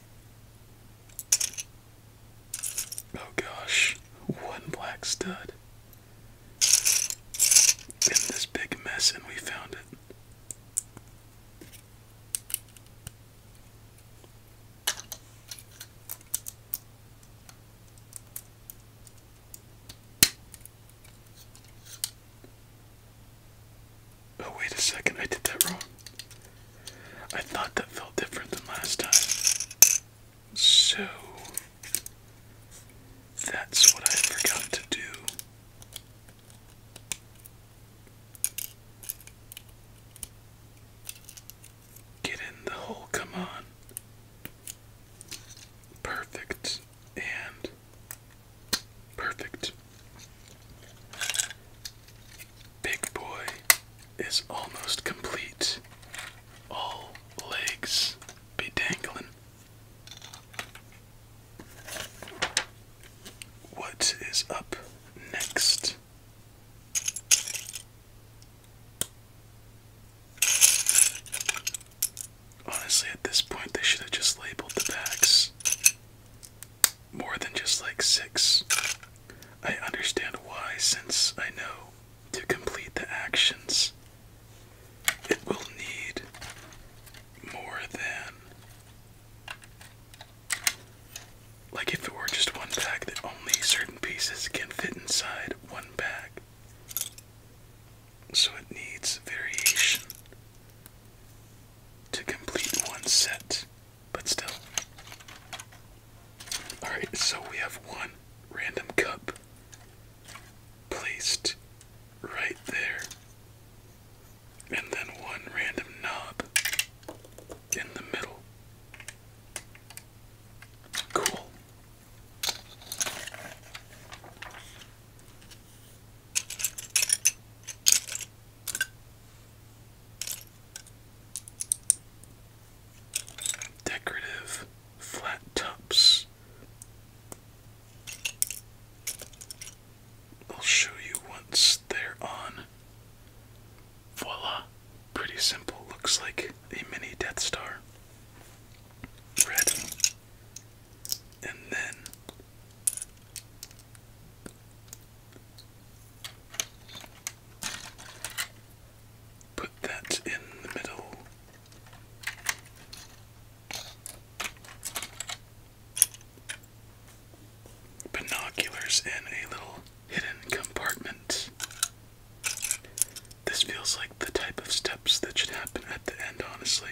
Oh gosh, one black stud. In this big mess, and we found it. Oh, wait a second, I did that wrong. I thought that felt different than last time. So, that's what I forgot to do. Get in the hole, come on. Perfect. And Perfect. Big boy is almost complete. All legs be dangling. What is up next? Honestly, at this point, they should have just labeled the bags more than just like six. I understand why, since I know to complete the actions, it will need more than. Like if it were just one pack that only certain pieces can fit inside one bag. So it needs variation to complete one set but still. Alright, so we have one random cup placed right there, and then one random knob in the middle. Cool. Decorative flat tops. I'll show you once they're on. Voila! Pretty simple. Looks like a mini Death Star. Red. And then Put that in the middle. Binoculars in a little hidden compartment. This feels like the type of steps that should happen at the end, honestly.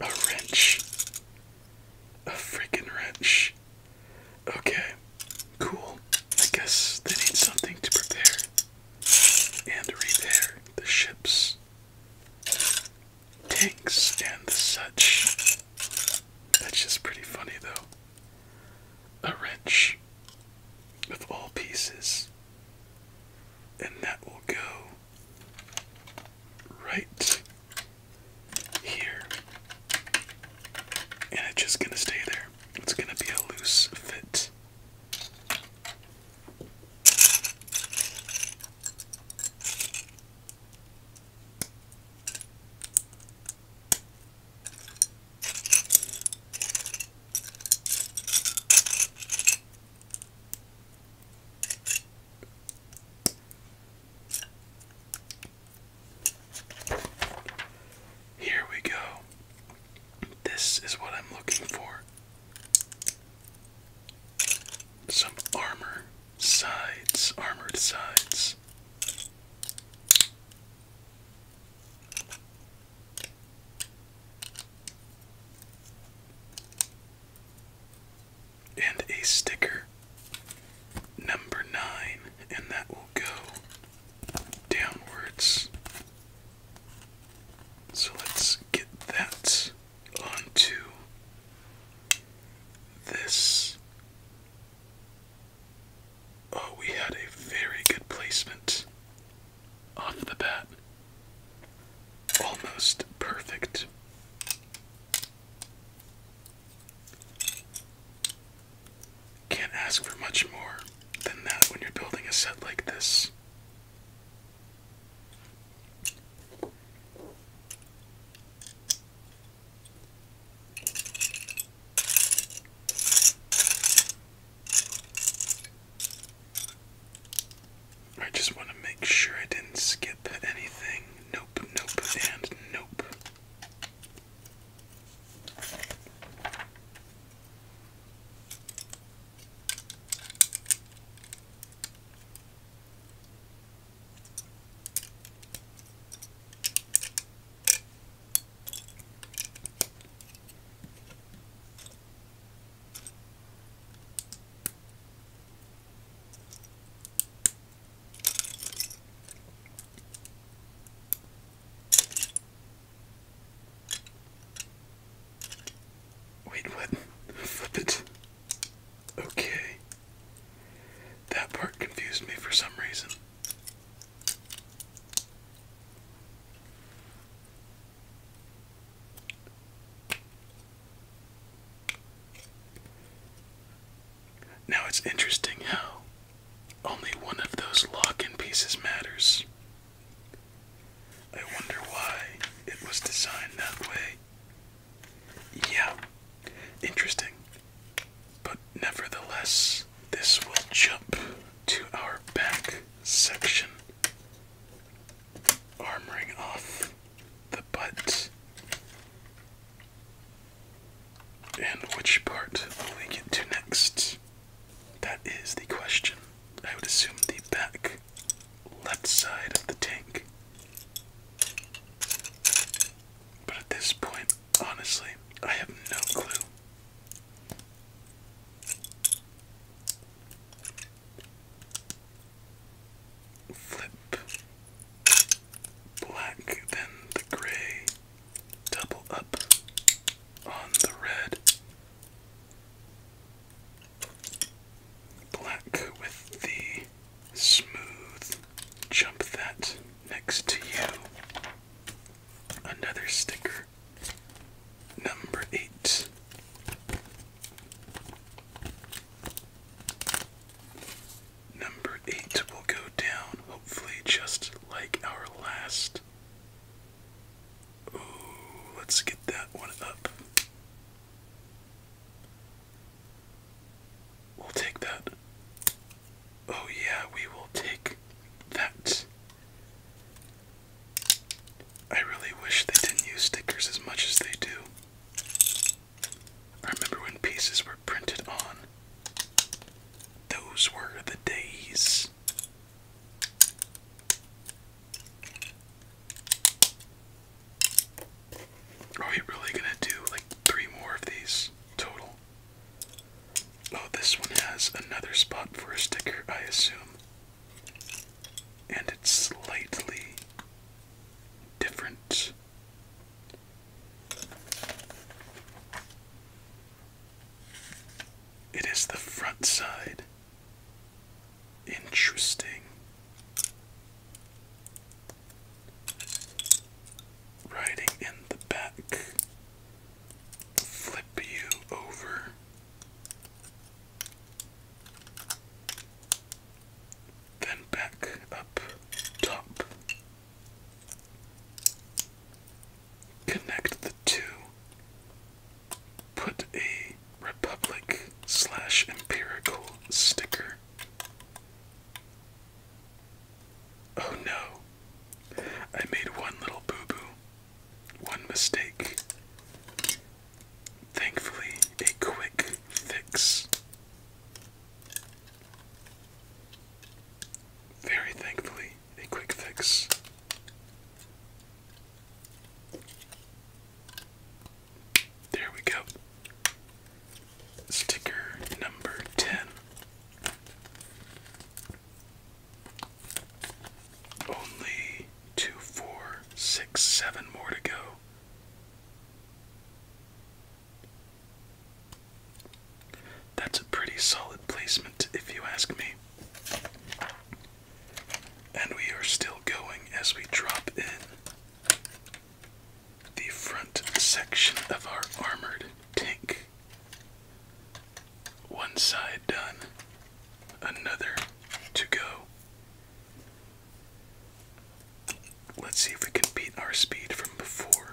A wrench. A freaking wrench. Okay, cool. I guess they need something to prepare and repair the ships, tanks, and such. That's just pretty funny, though. A wrench of all pieces and that will go right here. And it's just gonna stay there. It's gonna be a loose fit. Here we go. This is what I'm looking for. Some armor sides, armored sides. And a sticker number nine, and that will go downwards. So let's get that onto this. Oh, we had a very good placement off the bat. Almost perfect. Can't ask for much more than that when you're building a set like this. I just want to make sure I didn't skip anything. Nope, nope, and nope. Wait, what? Flip it. Okay. That part confused me for some reason. Now it's interesting how only one of those lock in pieces matters. I wonder why it was designed that way. Yeah, interesting. But nevertheless, this will jump to our back section armoring off the butt. And which part will we get to next? That is the question. I would assume the back left side of the tank. But at this point, honestly, I have no clue flip black, then the gray, double up on the red, black with the smooth, jump that next to you, another sticker. Number eight, Number eight will go down, hopefully, just like our last. Ooh, let's get that one up. We'll take that. Oh, yeah, we will take that. I really wish they didn't use stickers as much as they do. I remember when pieces were printed on. Those were the days. Are we really gonna do like three more of these total? Oh, this one has another spot for a sticker, I assume and it's slightly different. It is the front side. Interesting. Riding in the back. Flip you over. Then back up top. Connect the two. Put a Republic slash empirical sticker. Oh no, I made one little boo boo, one mistake. Thankfully, a quick fix. Very thankfully, a quick fix. There we go. Sticker number 10. Only three, two, four, six, seven more to go. That's a pretty solid placement, if you ask me. And we are still going as we drop in the front section of our armored tank. One side done, another to go. Let's see if we can beat our speed from before.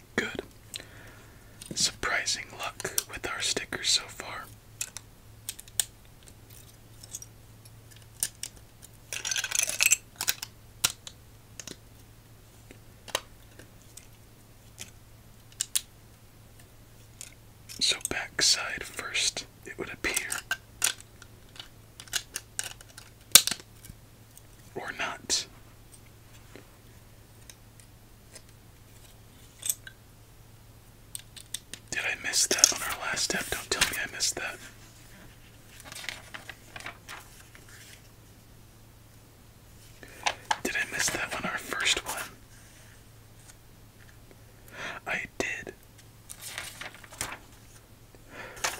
Good. Surprising luck with our stickers so far. So, backside first, it would appear. Or not. Did I miss that on our last step? Don't tell me I missed that. Did I miss that on our first one? I did.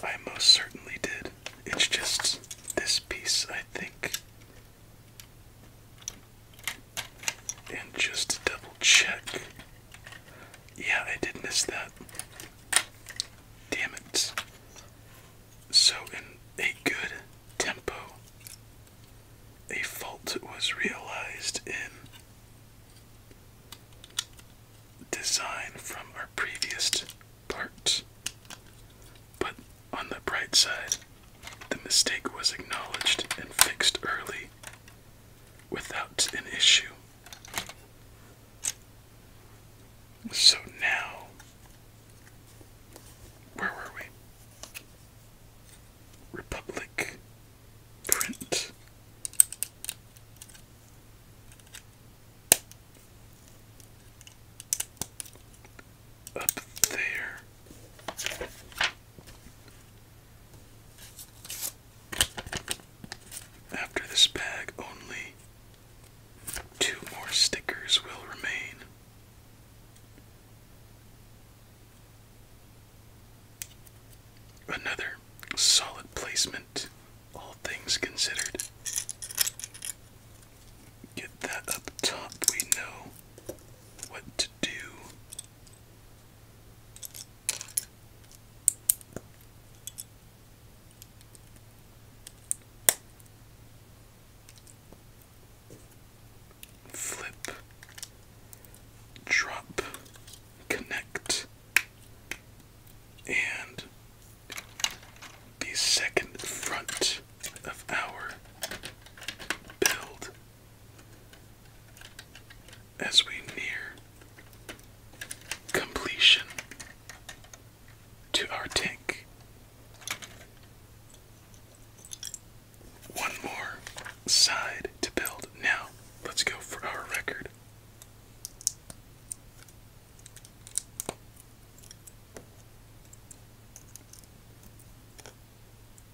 I most certainly did. It's just this piece, I think. And just to double check. Yeah, I did miss that. Damn it. So, in a good tempo, a fault was realized in design from our previous part. But on the bright side, the mistake was acknowledged and fixed early without an issue. So now, where were we? Republic print up there. After this bag, only two more stickers will remain. Another solid placement, all things considered. Get that up top, we know what Flip, drop, connect, and the second front of our build as we near completion to our tank. One more side to build. Now, let's go for our record.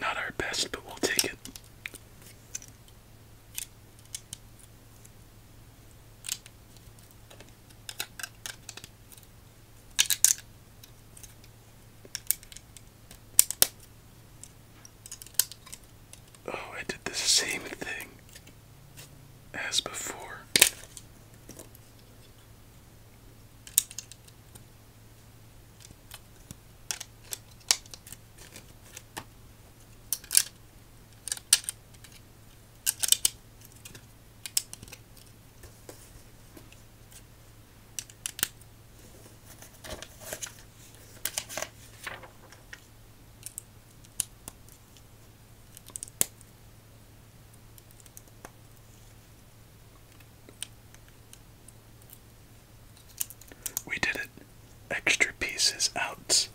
Not our best, but we'll take it. Oh, I did the same thing as before. We did it. Extra pieces out.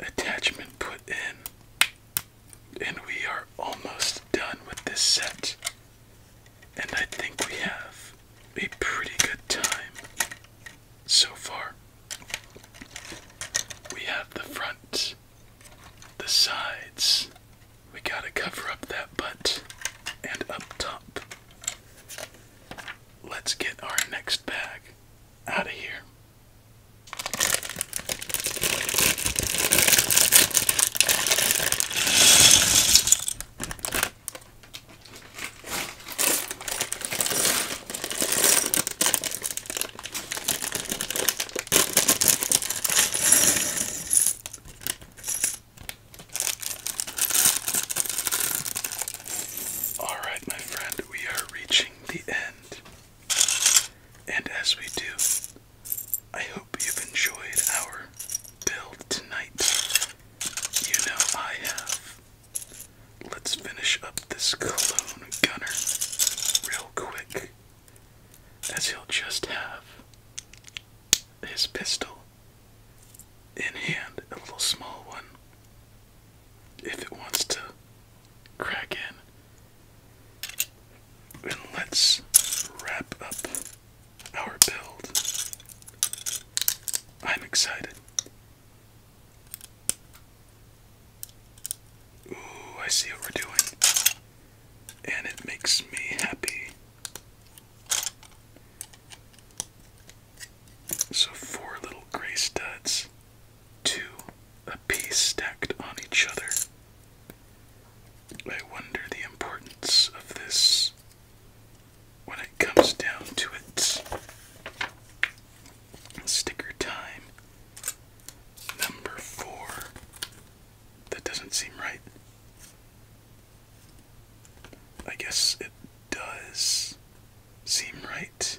Attachment put in. And we are almost done with this set. And I think we have a pretty good time so far. We have the front, the sides, we gotta cover up that butt, and up top. Let's get our next bag out of here. All right, my friend, we are reaching the end. And as we do, I hope you've enjoyed our build tonight. You know I have. Let's finish up this clone gunner real quick, as he'll just have his pistol in hand, a little small one. If it wants to crack in, and let's wrap up our build. I'm excited. Ooh, I see what we're doing. And it makes me happy. So, four little gray studs, two apiece stacked on each other. I wonder the importance of this when it comes down to it. sticker time. Number four. That doesn't seem right. I guess it does seem right.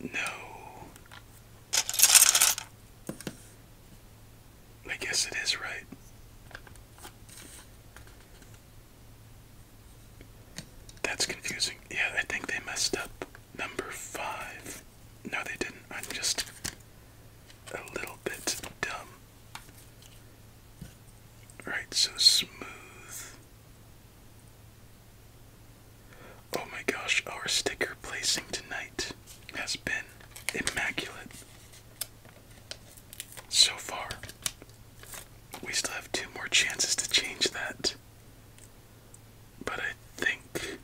No. I guess it is right. That's confusing. Yeah, I think they messed up number five. No, they didn't. I'm just a little bit dumb. Right, so smooth. Oh my gosh, our sticker placing tonight has been immaculate. So far, we still have two more chances to change that. But I think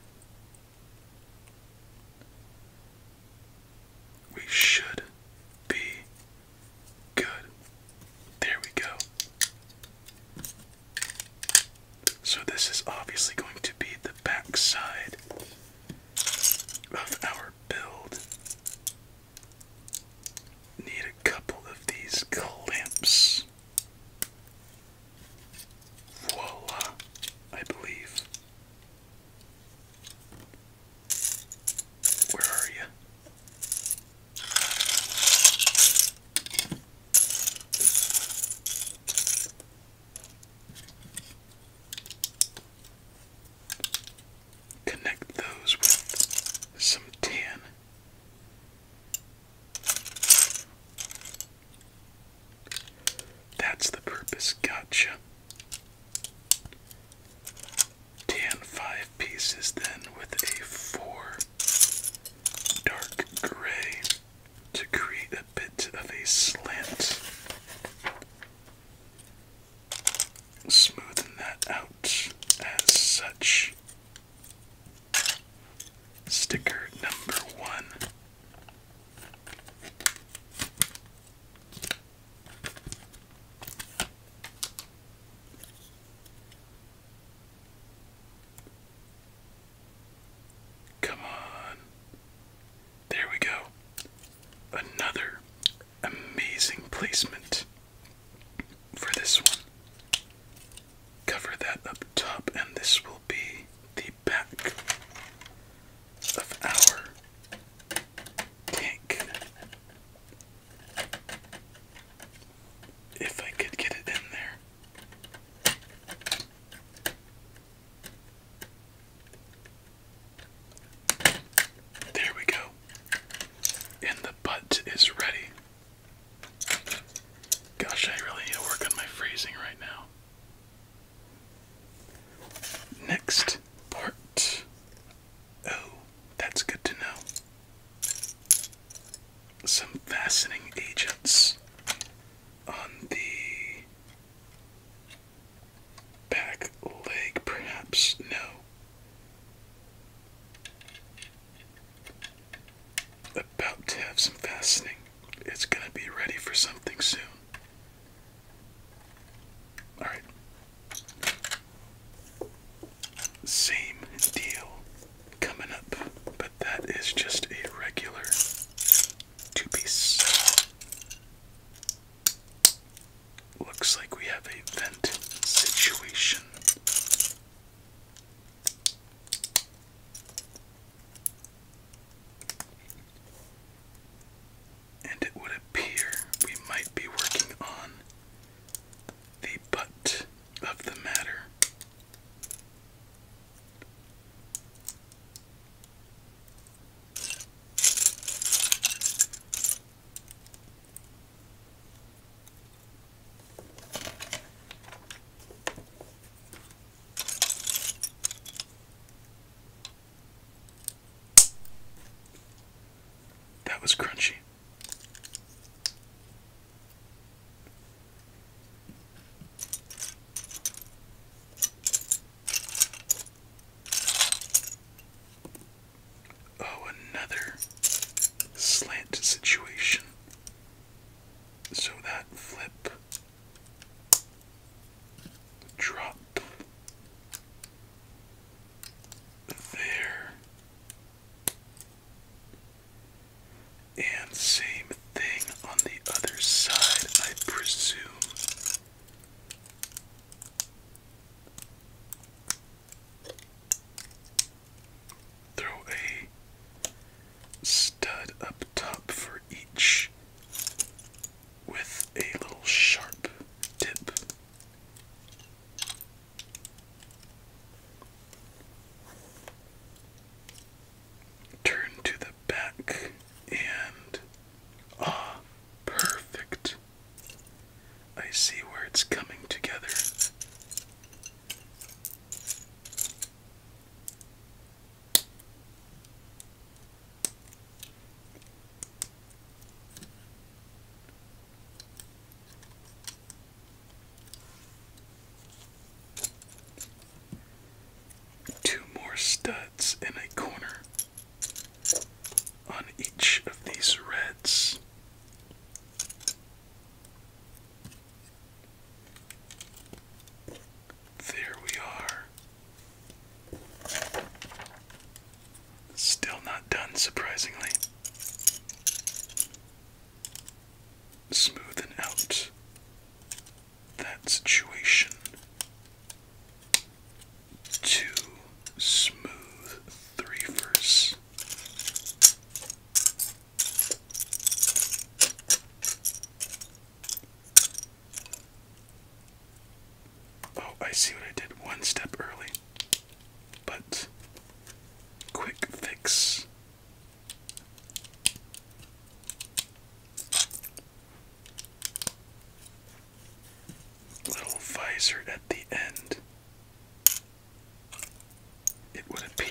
we should be good. There we go. So this is obviously going to be the backside of our build. Need a couple of these clamps. Voila, I believe. Where are you? Connect those with some tan. That's the purpose, gotcha. Tan five pieces then with a four dark gray to create a bit of a slant. smooth that out as such. Sticker number one. Come on. There we go. Another amazing placement for this one. Cover that up top, and this will be the back of our tank. If I could get it in there. There we go. And the butt is ready. Gosh, I really need to work on my phrasing right now. Next part. Oh, that's good to know. Some fastening agents on the back leg, perhaps? No. About to have some fastening. It's going to be ready for something soon. Alright. Same deal coming up, but that is just a regular two piece. Looks like we have a vent situation. And it would appear we might be working on the butt of the matter. That was crunchy. Oh, another slant situation. So that flip, drop there, and same thing on the other side, I presume. Throw a stud up top for each with a little sharp tip. Turn to the back and ah, perfect. I see where it's coming together. Two more studs in a corner on each of these reds. There we are. Still not done, surprisingly. Smooth and out that situation to smooth three verse. Oh, I see what I did one step early. But quick fix. Little visor at the end, it would appear.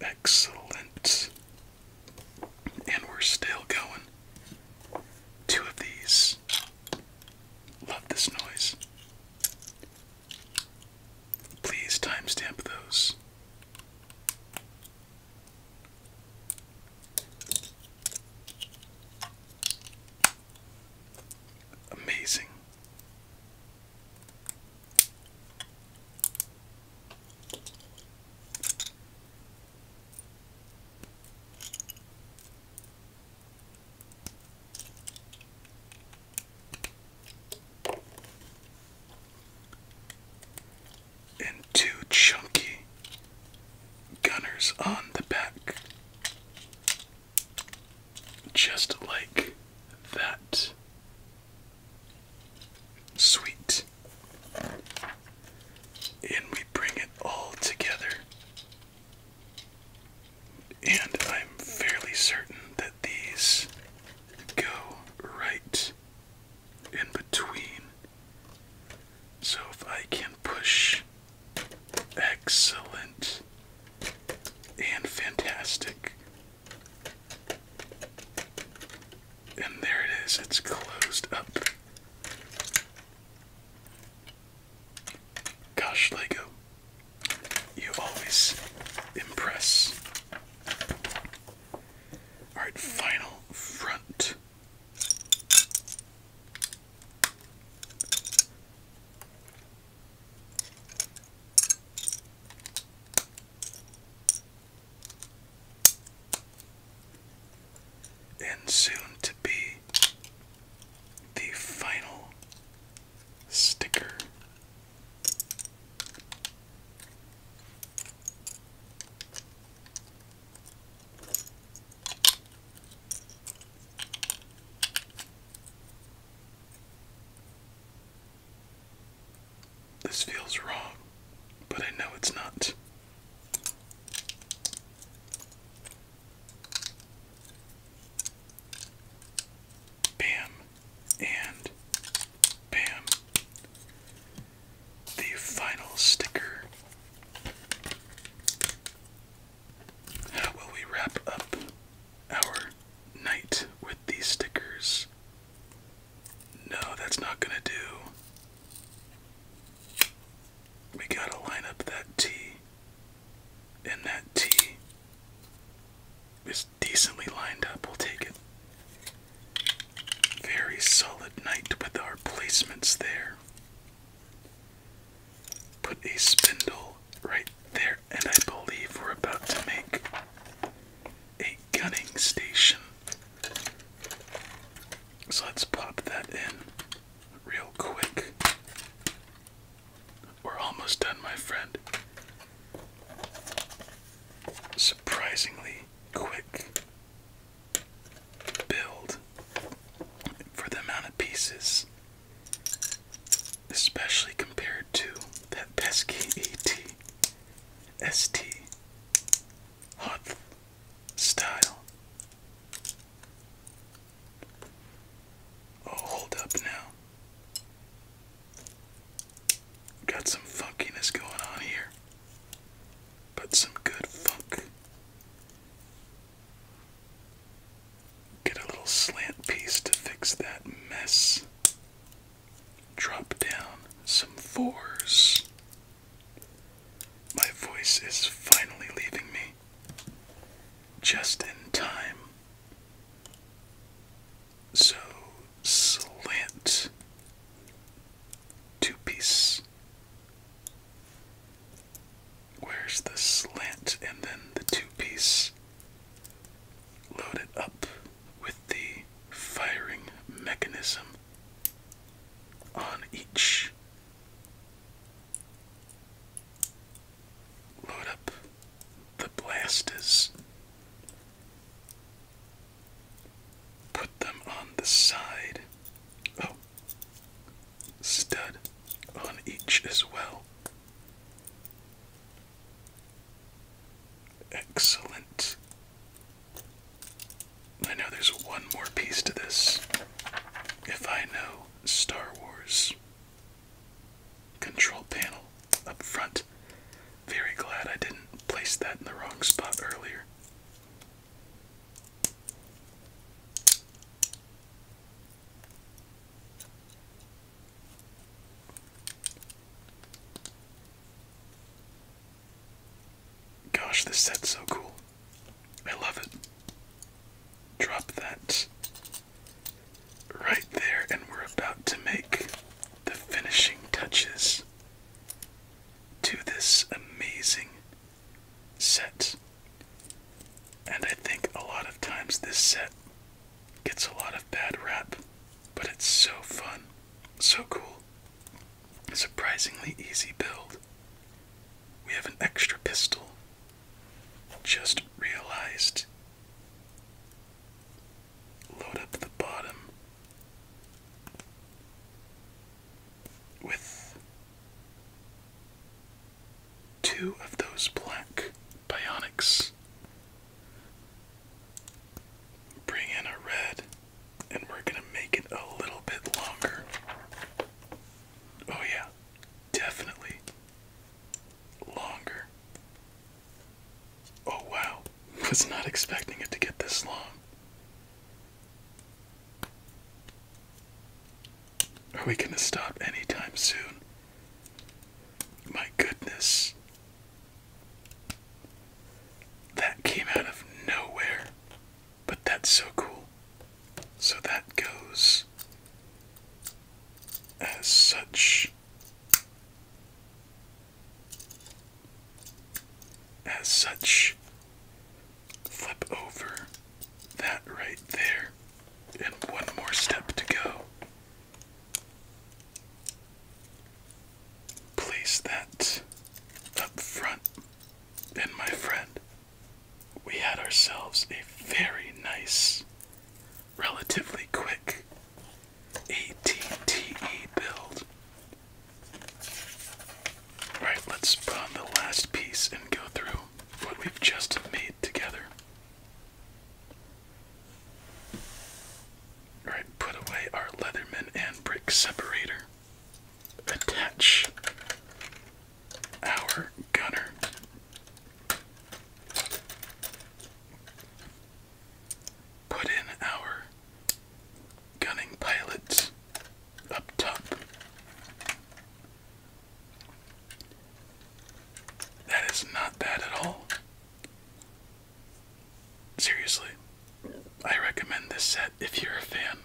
Excellent. And we're still going. Two of these. Love this noise. Please timestamp those. Amazing. And two chunky gunners on the back just like that. Sweet. And we bring it all together. And I'm fairly certain that these go right in between. So if I can push, excellent and fantastic. And there it is, it's closed up. Gosh, Lego, you always impress. Alright, final front. And soon to be the final sticker. This feels wrong, but I know it's not. Bam and bam. The final sticker. How will we wrap up our knight with these stickers. No, that's not gonna do. We gotta line up that T. And that T is decently lined up. We'll take it. Very solid knight with our placements there. Put a spindle right there and I believe we're about to make a gunning station. So let's pop that in real quick. We're almost done, my friend. Surprisingly quick build for the amount of pieces especially compared to that pesky ET ST hot style. Oh, hold up now. Got some funkiness going on here, but some good funk. Get a little slant piece to fix that mess. Drop down some fours. My voice is finally leaving me. Just in time. So, slant. Two piece. Where's the slant and then the two piece? load it up with the firing mechanism on each. Load up the blasters. Put them on the side. Oh, stud on each as well. Excellent. I know there's one more piece to this. If I know Star Wars. Control panel up front. Very glad I didn't place that in the wrong spot earlier. Gosh, this set's so cool. I love it. Drop that right there, and we're about to make the finishing touches to this amazing set. And I think a lot of times this set gets a lot of bad rap, but it's so fun, so cool. surprisingly easy build. We have an extra pistol. Just realized. Load up the bottom with two of those black bionics. Bring in a red, and we're gonna make it a little bit longer. Oh, yeah, definitely longer. Oh, wow, [laughs] was not expecting it to get this long. Are we gonna stop anytime soon? My goodness. That came out of nowhere, but that's so cool. So that goes as such as such flip over that right there and one more step to go Place that up front, and my friend, we had ourselves a very nice, relatively quick ATTE build. Right, let's put on the last piece and go through what we've just made together. Alright, put away our Leatherman and brick separator. Attach our gunner. Put in our gunning pilots up top. That is not bad at all. Seriously, I recommend this set if you're a fan.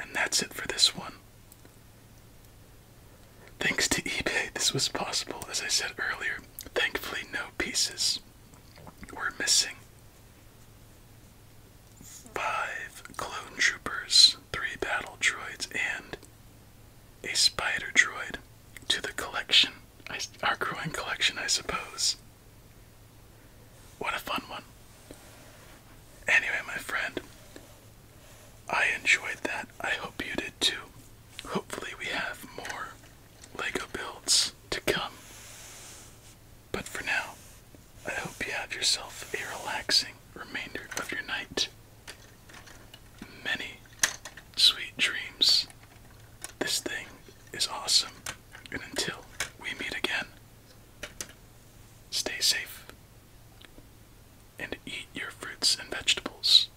And that's it for this one. Thanks to eBay, this was possible, as I said earlier. Thankfully, no pieces were missing. Five clone troopers, three battle droids, and a spider droid to the collection our growing collection, I suppose. What a fun one. Anyway, my friend, I enjoyed that. I hope you did too. Hopefully, we have more LEGO builds to come. But for now, I hope you have yourself a relaxing remainder of your night many sweet dreams. This thing is awesome. And until we meet again, stay safe and eat your fruits and vegetables.